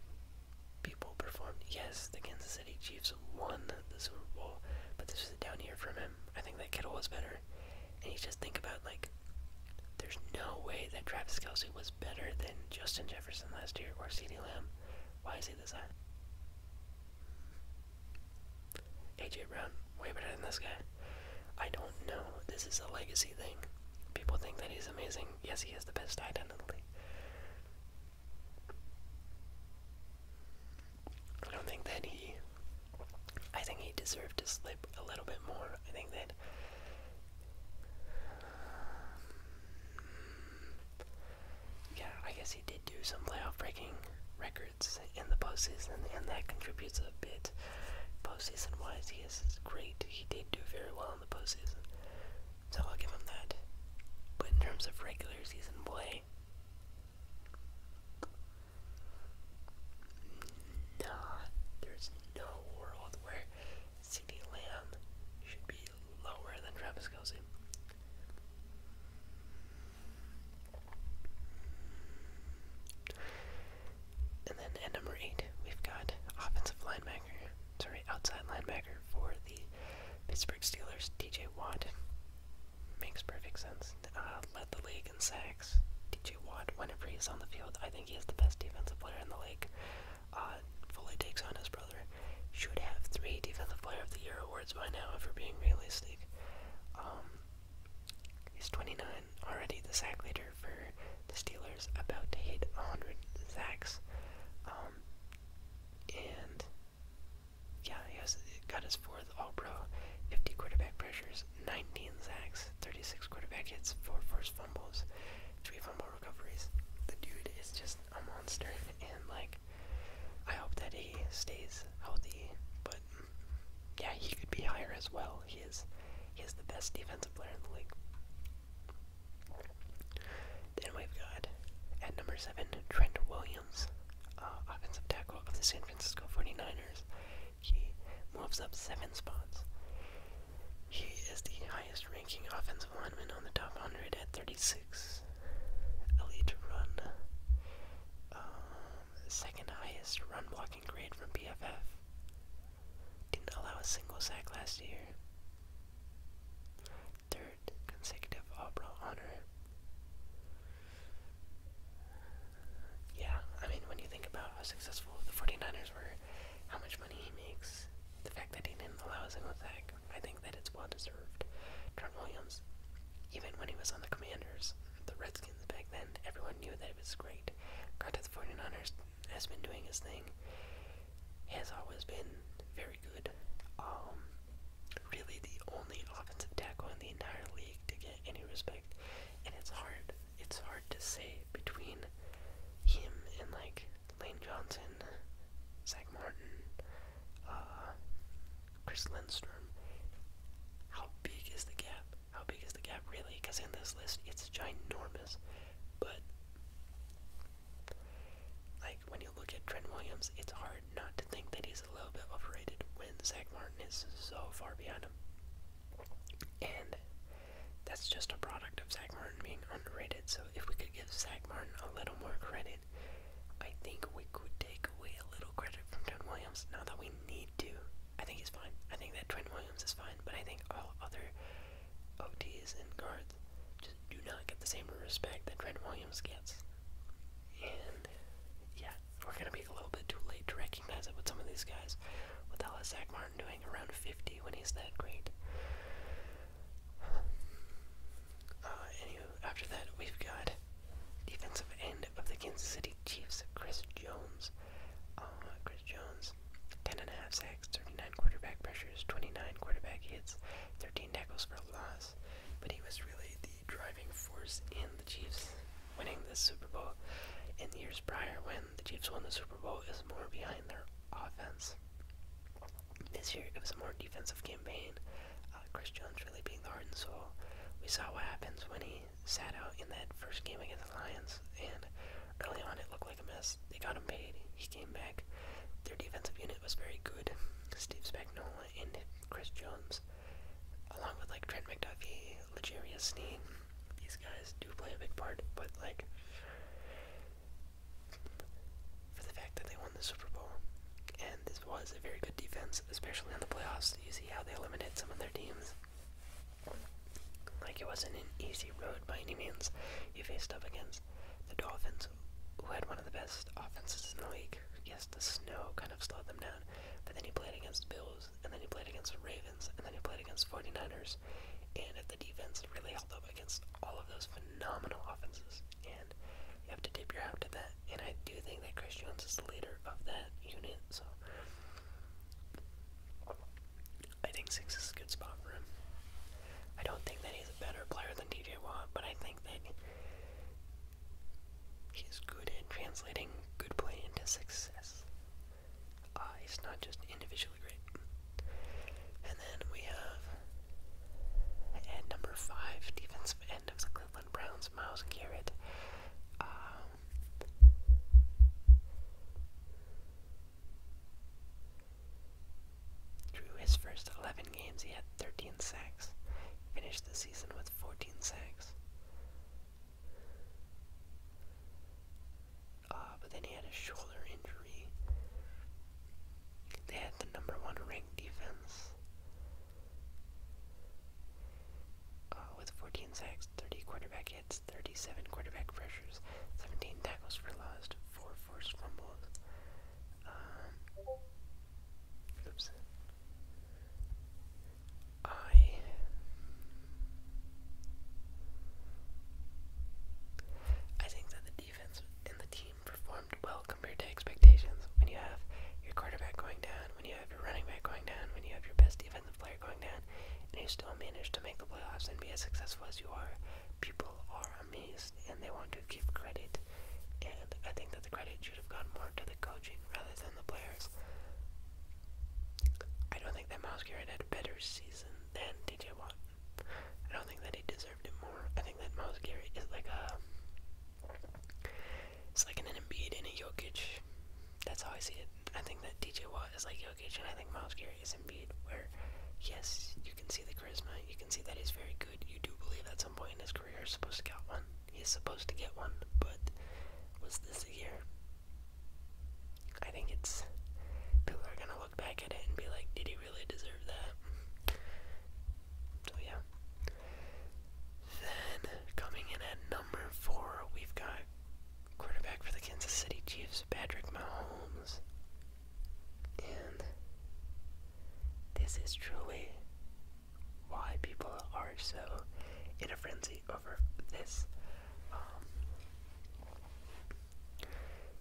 people performed, yes, the Kansas City Chiefs won the Super Bowl, but this was a down year from him. I think that Kittle was better. And you just think about, like, there's no way that Travis Kelsey was better than Justin Jefferson last year or C.D. Lamb. Why is he this high? AJ Brown, way better than this guy. I don't know. This is a legacy thing. People think that he's amazing. Yes, he has the best tight in the league. I don't think that he. I think he deserved to slip a little bit more. I think that yeah, I guess he did do some playoff breaking records in the postseason, and that contributes a bit. Postseason wise, he is great. He did do very well in the postseason, so I'll give him that. But in terms of regular season play, nah, there's no world where CD Lamb should be lower than Travis Kelsey. And then at number eight, we've got offensive linebacker, sorry, outside linebacker for the Pittsburgh Steelers, DJ Watt. Makes perfect sense. Uh, led the league in sacks. DJ Watt, whenever he's on the field, I think he is the best defensive player in the league. Uh, fully takes on his brother, should have three Defensive Player of the Year awards by now, if we're being realistic. Um, he's 29, already the sack leader for the Steelers, about to hit 100 sacks. Um, and yeah, he has got his fourth All Pro, 50 quarterback pressures, 19 sacks, 36 quarterback hits, 4 forced fumbles, 3 fumbles recoveries. The dude is just a monster, and like, I hope that he stays healthy. But yeah, he could be higher as well. He is, he is the best defensive player in the league. Then we've got at number seven Trent Williams, uh, offensive tackle of the San Francisco 49ers. He moves up seven spots. He is the highest ranking offensive lineman on the top 100 at 36. Elite run. Um, second highest run blocking grade from PFF. Didn't allow a single sack last year. Third consecutive All Pro honor. Yeah, I mean, when you think about how successful the 49ers were, how much money he makes, the fact that he didn't allow a single sack, I think that it's well deserved. Trent Williams, even when he was on the Commanders, the Redskins back then, everyone knew that it was great. Got to the 49ers, has been doing his thing, has always been very good. Um, really the only offensive tackle in the entire league to get any respect, and it's hard. It's hard to say between him and like Lane Johnson, Zach Martin, uh, Chris Lindstrom. How big is the gap? How big is the gap really? Because in this list, it's ginormous. But like when you look at Trent Williams, it's hard not to think that he's a little bit overrated when Zach Martin is so far behind him. And that's just a product of Zach Martin being underrated, so if we could give Zach Martin a little more credit, I think we could take away a little credit from Trent Williams. Not that we need to. I think he's fine. I think that Trent Williams is fine, but I think all other OTs and guards just do not get the same respect that Trent Williams gets. And yeah, we're gonna be a little bit too late to recognize it with some of these guys. What the hell is Zach Martin doing? Around 50 when he's that great. Uh, after that, we've got defensive end of the Kansas City Chiefs, Chris Jones. Uh, Chris Jones, 10.5 sacks, 39 quarterback pressures, 29 quarterback hits, 13 tackles for loss. But he was really the driving force in the Chiefs winning this Super Bowl. In the years prior, when the Chiefs won the Super Bowl, is more behind their offense. This year, it was a more defensive campaign. Uh, Chris Jones really being the heart and soul. We saw what happens when he sat out in that first game against the Lions, and early on it looked like a mess. They got him paid. He came back. Their defensive unit was very good. Steve Spagnuolo and Chris Jones, along with like Trent McDuffie, Legarius Sneed, these guys do play a big part, but like for the fact that they won the Super Bowl. And this was a very good defense, especially in the playoffs. You see how they eliminated some of their teams. Like it wasn't an easy road by any means. You faced up against the Dolphins, who had one of the best offenses in the league. Yes, the snow kind of slowed them down. But then he played against the Bills, and then he played against the Ravens, and then he played against the 49ers. And the defense really held up against all of those phenomenal offenses, and you have to tip your hat to that. And I do think that Chris Jones is the leader of that unit, so I think six is a good spot for him. I don't think that he's a better player than DJ Watt, but I think that he's good at translating good play into success. Uh, he's not just individually great. And then we have at number five, defensive end of the Cleveland Browns, Miles Garrett. through um, his first 11 games, he had 13 sacks. Finished the season with 14 sacks. Uh, but then he had a shoulder injury they had the number one ranked defense uh, with 14 sacks, 30 quarterback hits, 37 quarterback pressures, 17 tackles for loss, 4 forced fumbles. Um, oops. I. I think that the defense and the team performed well compared to expectations. When you have your quarterback going down, when you have your running back going down, when you have your best defensive player going down, and you still manage to make the playoffs and be as successful as you are, people are amazed and they want to give credit. And I think that the credit should have gone more to the coaching rather than the players. I don't think that Miles Garrett had a better season than DJ Watt. I don't think that he deserved it more. I think that Miles Garrett is like a. It's like an Embiid and a Jokic. That's how I see it. I think that DJ Watt is like Jokic, and I think Miles Garrett is Embiid, where, yes, you can see the charisma, you can see that he's very good. You do believe at some point in his career he's supposed to get one. He's supposed to get one, but was this a year? I think it's. People are gonna look back at it and be like, did he really deserve that? So, yeah. Then, coming in at number four, we've got quarterback for the Kansas City Chiefs, Patrick Mahomes. And this is truly why people are so in a frenzy over this. Um,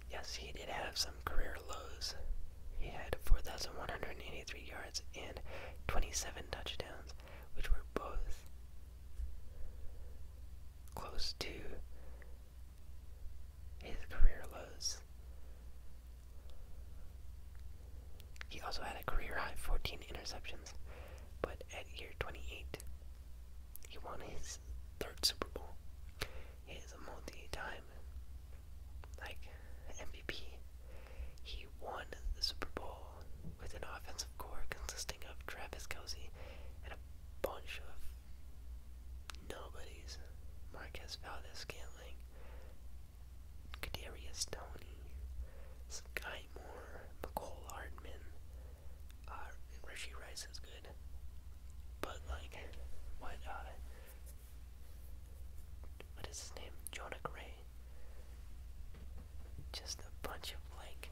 Yes, he did have some career lows. He had 4,183 yards and 27 touchdowns, which were both close to his career lows. He also had a career high 14 interceptions, but at year 28, he won his third Super Bowl. He is a multi-time like MVP. He won the Super Bowl with an offensive core consisting of Travis Kelsey and a bunch of nobodies. Marquez Valdez Scantling, Kadarius Tony, Sky Moore, McCole Hardman. Uh, Rishi Rice is good. But like why not? Uh, what is his name? Jonah Gray. Just a bunch of like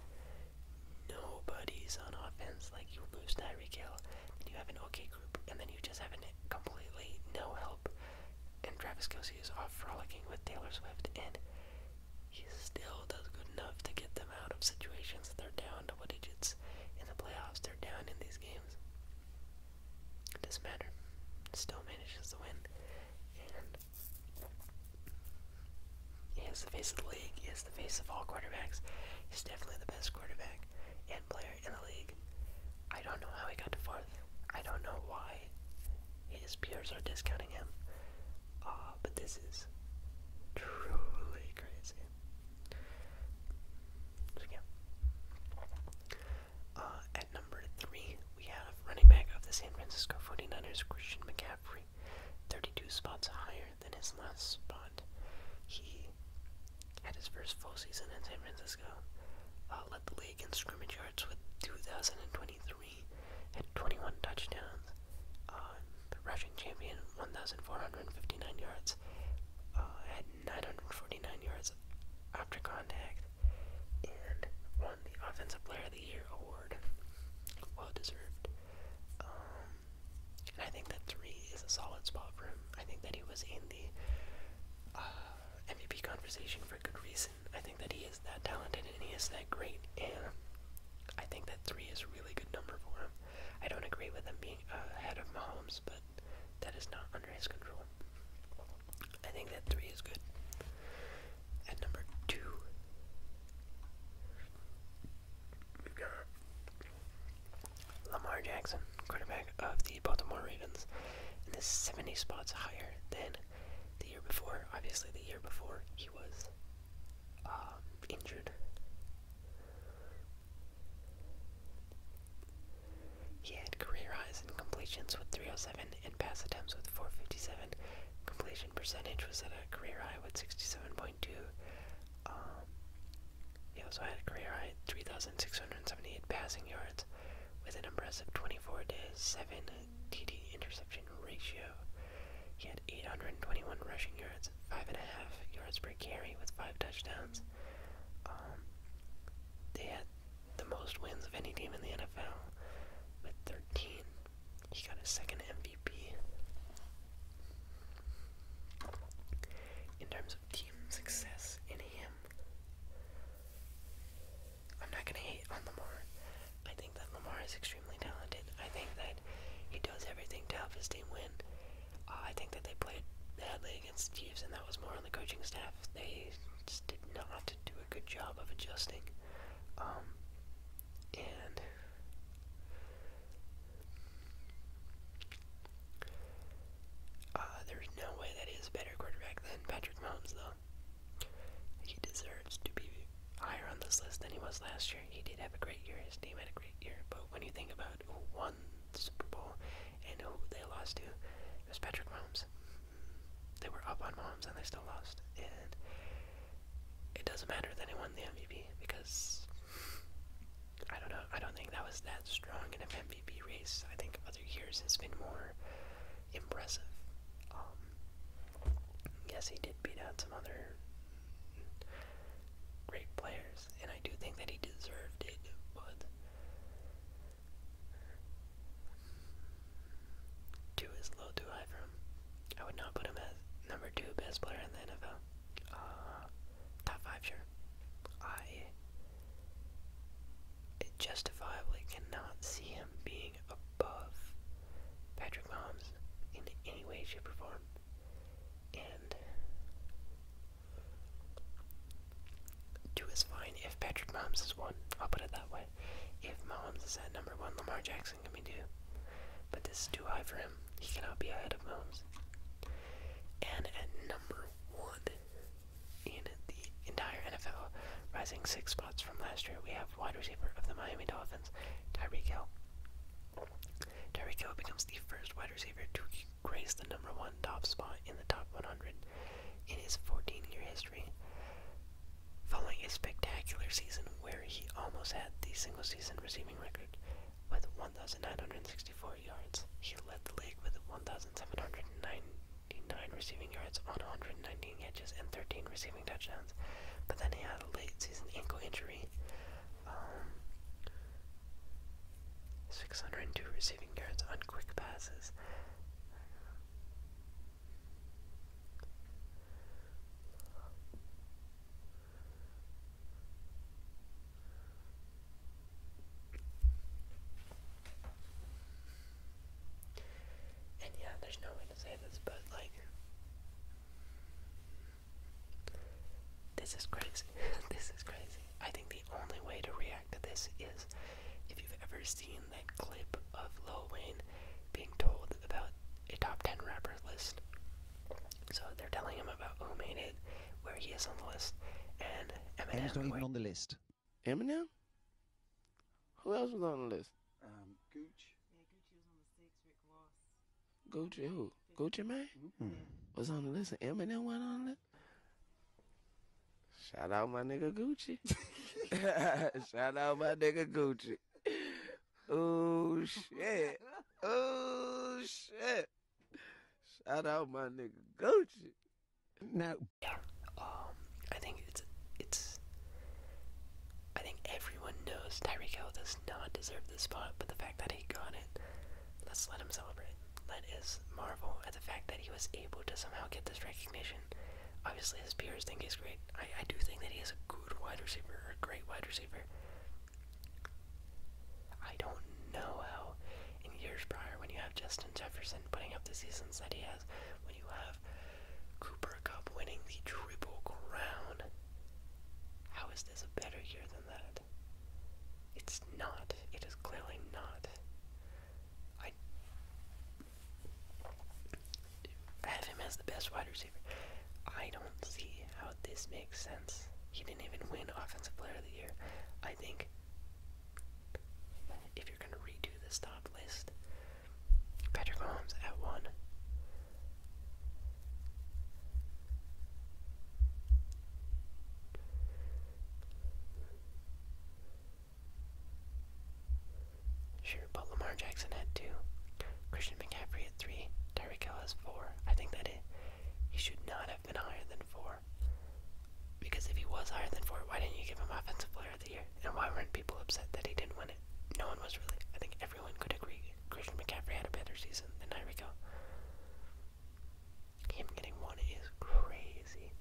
no buddies on offense. Like you lose Tyreek Hill, and you have an okay group, and then you just have an completely no help. And Travis Kelsey is off frolicking with Taylor Swift, and he still does good enough to get them out of situations. They're down double digits in the playoffs. They're down in these games. It doesn't matter. Still manages to win. And he is the face of the league. He is the face of all quarterbacks. He's definitely the best quarterback and player in the league. I don't know how he got to fourth. I don't know why his peers are discounting him. Uh, but this is truly crazy. Uh, at number three, we have running back of the San Francisco 49ers, Christian McCaffrey, 32 spots higher than his last spot. He had his first full season in San Francisco, uh, led the league in scrimmage yards with 2,023, had 21 touchdowns, uh, the rushing champion, 1,459 yards, uh, had 949 yards after contact, and won the Offensive Player of the Year award. Well deserved. Um, and I think that three is a solid spot for him. I think that he was in the uh, MVP conversation for good reason. I think that he is that talented and he is that great, and I think that three is a really good number for him. I don't agree with him being uh, ahead of Mahomes, but that is not under his control. I think that three is good. At number two, got Lamar Jackson, quarterback of the Baltimore Ravens, and this 70 spots higher than the year before. Obviously, the year before he was um, injured. He had career highs in completions with 307 and pass attempts with 457. Completion percentage was at a career high with 67.2. Um, he also had a career high 3,678 passing yards with an impressive 24 to 7 TD interception ratio. He had 821 rushing yards, 5.5 yards per carry with 5 touchdowns. Um, they had the most wins of any team in the NFL with 13. He got a second MVP. In terms of team success in him, I'm not gonna hate on Lamar. I think that Lamar is extremely talented. I think that he does everything to help his team win. Uh, I think that they played, badly against the Chiefs, and that was more on the coaching staff. They just did not do a good job of adjusting. Um, and uh, there's no way that he is a better quarterback than Patrick Mahomes, though. He deserves to be higher on this list than he was last year. He did have a great year. His team had a great year. But when you think about why won the Super Bowl, and who they lost to. It was Patrick Mahomes. They were up on Mahomes and they still lost. And it doesn't matter that he won the MVP because I don't know. I don't think that was that strong in an MVP race. I think other years it's been more impressive. Um, yes, he did beat out some other great players, and I do think that he deserved it, but Two is low, too high for him. I would not put him at number two best player in the NFL. Uh, top five, sure. I justifiably cannot see him being above Patrick Mahomes in any way, shape, or form. And Two is fine if Patrick Mahomes is one. I'll put it that way. If Mahomes is at number one, Lamar Jackson can be two. But this is too high for him. He cannot be ahead of Mahomes. And at number one in the entire NFL, rising six spots from last year, we have wide receiver of the Miami Dolphins, Tyreek Hill. Tyreek Hill becomes the first wide receiver to graced the number one top spot in the top 100 in his 14-year history, following a spectacular season where he almost had the single-season receiving record with 1,964 yards. He led the league with 1,799 receiving yards on 119 catches and 13 receiving touchdowns, but then he had a late-season ankle injury. Um, 602 receiving yards on quick passes. And yeah, there's no way to say this, but like, this is crazy. this is crazy. I think the only way to react to this is if you've ever seen that clip of Lil Wayne being told about a top 10 rapper list. So they're telling him about who made it, where he is on the list, and Eminem. Eminem's not on the list. Eminem? Who else was on the list? Um, Gooch. Yeah, Gucci was on the six. Rick Ross. Gucci who? Gucci man? -hmm. Was on the list. Eminem went on the list. Shout out my nigga Gucci. Shout out my nigga Gucci. Oh shit. Oh shit. Shout out my nigga Gucci. Now um, I think it's it's I think everyone knows Tyreek Hill does not deserve the spot, but the fact that he got it Let's let him celebrate. Let us marvel at the fact that he was able to somehow get this recognition. Obviously, his peers think he's great. I, I do think that he is a good wide receiver, or a great wide receiver. I don't know how, in years prior, when you have Justin Jefferson putting up the seasons that he has, when you have Cooper Cup winning the Triple Crown, how is this a better year than that? It's not. It is clearly not. I have him as the best wide receiver. I don't see how this makes sense. He didn't even win Offensive Player of the Year. I think if you're going to redo this top list, Patrick Mahomes at one. Sure, but Lamar Jackson had two. Christian McCaffrey had three. Tyreek Hill has four. I think that he should not have been higher than four. Because if he was higher than four, why didn't you give him Offensive Player of the Year? And why weren't people upset that he didn't win it? No one was really. I think everyone could agree Christian McCaffrey had a better season than Tyreek Hill. Him getting one is crazy.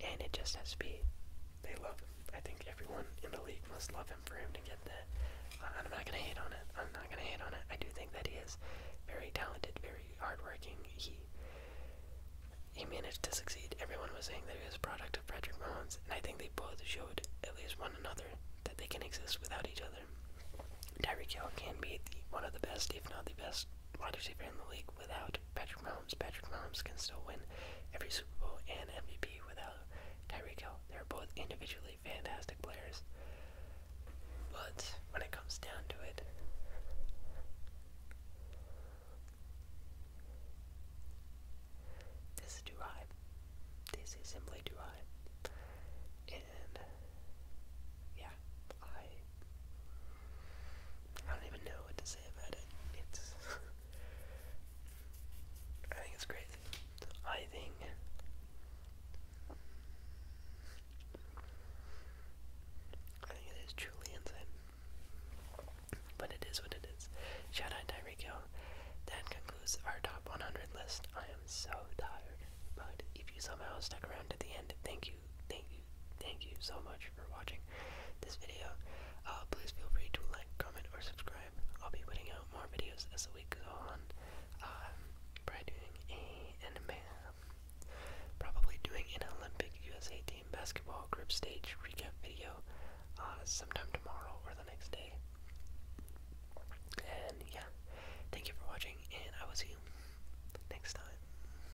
And it just has to be, they love him. I think everyone in the league must love him for him to get that. Uh, I'm not going to hate on it. I'm not going to hate on it. I do think that he is very talented, very hardworking. He he managed to succeed. Everyone was saying that he was a product of Frederick Mahomes, and I think they both showed at least one another that they can exist without each other. Tyreek Hill can be one of the best, if not the best, wide receiver in the league without Patrick Mahomes. Patrick Mahomes can still win every Super Bowl and MVP without Tyreek They're both individually fantastic players. But when it comes down to it, this is too high. This is simply too high. And yeah, I I don't even know what to say about it. It's I think it's great. I think I think it is truly insane. But it is what it is. Shout out Tyreek Hill. That concludes our top 100 list. I am so tired. But if you somehow stuck around to the end, thank you, thank you, Thank you so much for watching this video. Uh, please feel free to like, comment, or subscribe. I'll be putting out more videos as the week goes on. Um, probably doing a anime, probably doing an Olympic USA team basketball group stage recap video uh, sometime tomorrow or the next day. And yeah, thank you for watching, and I will see you next time.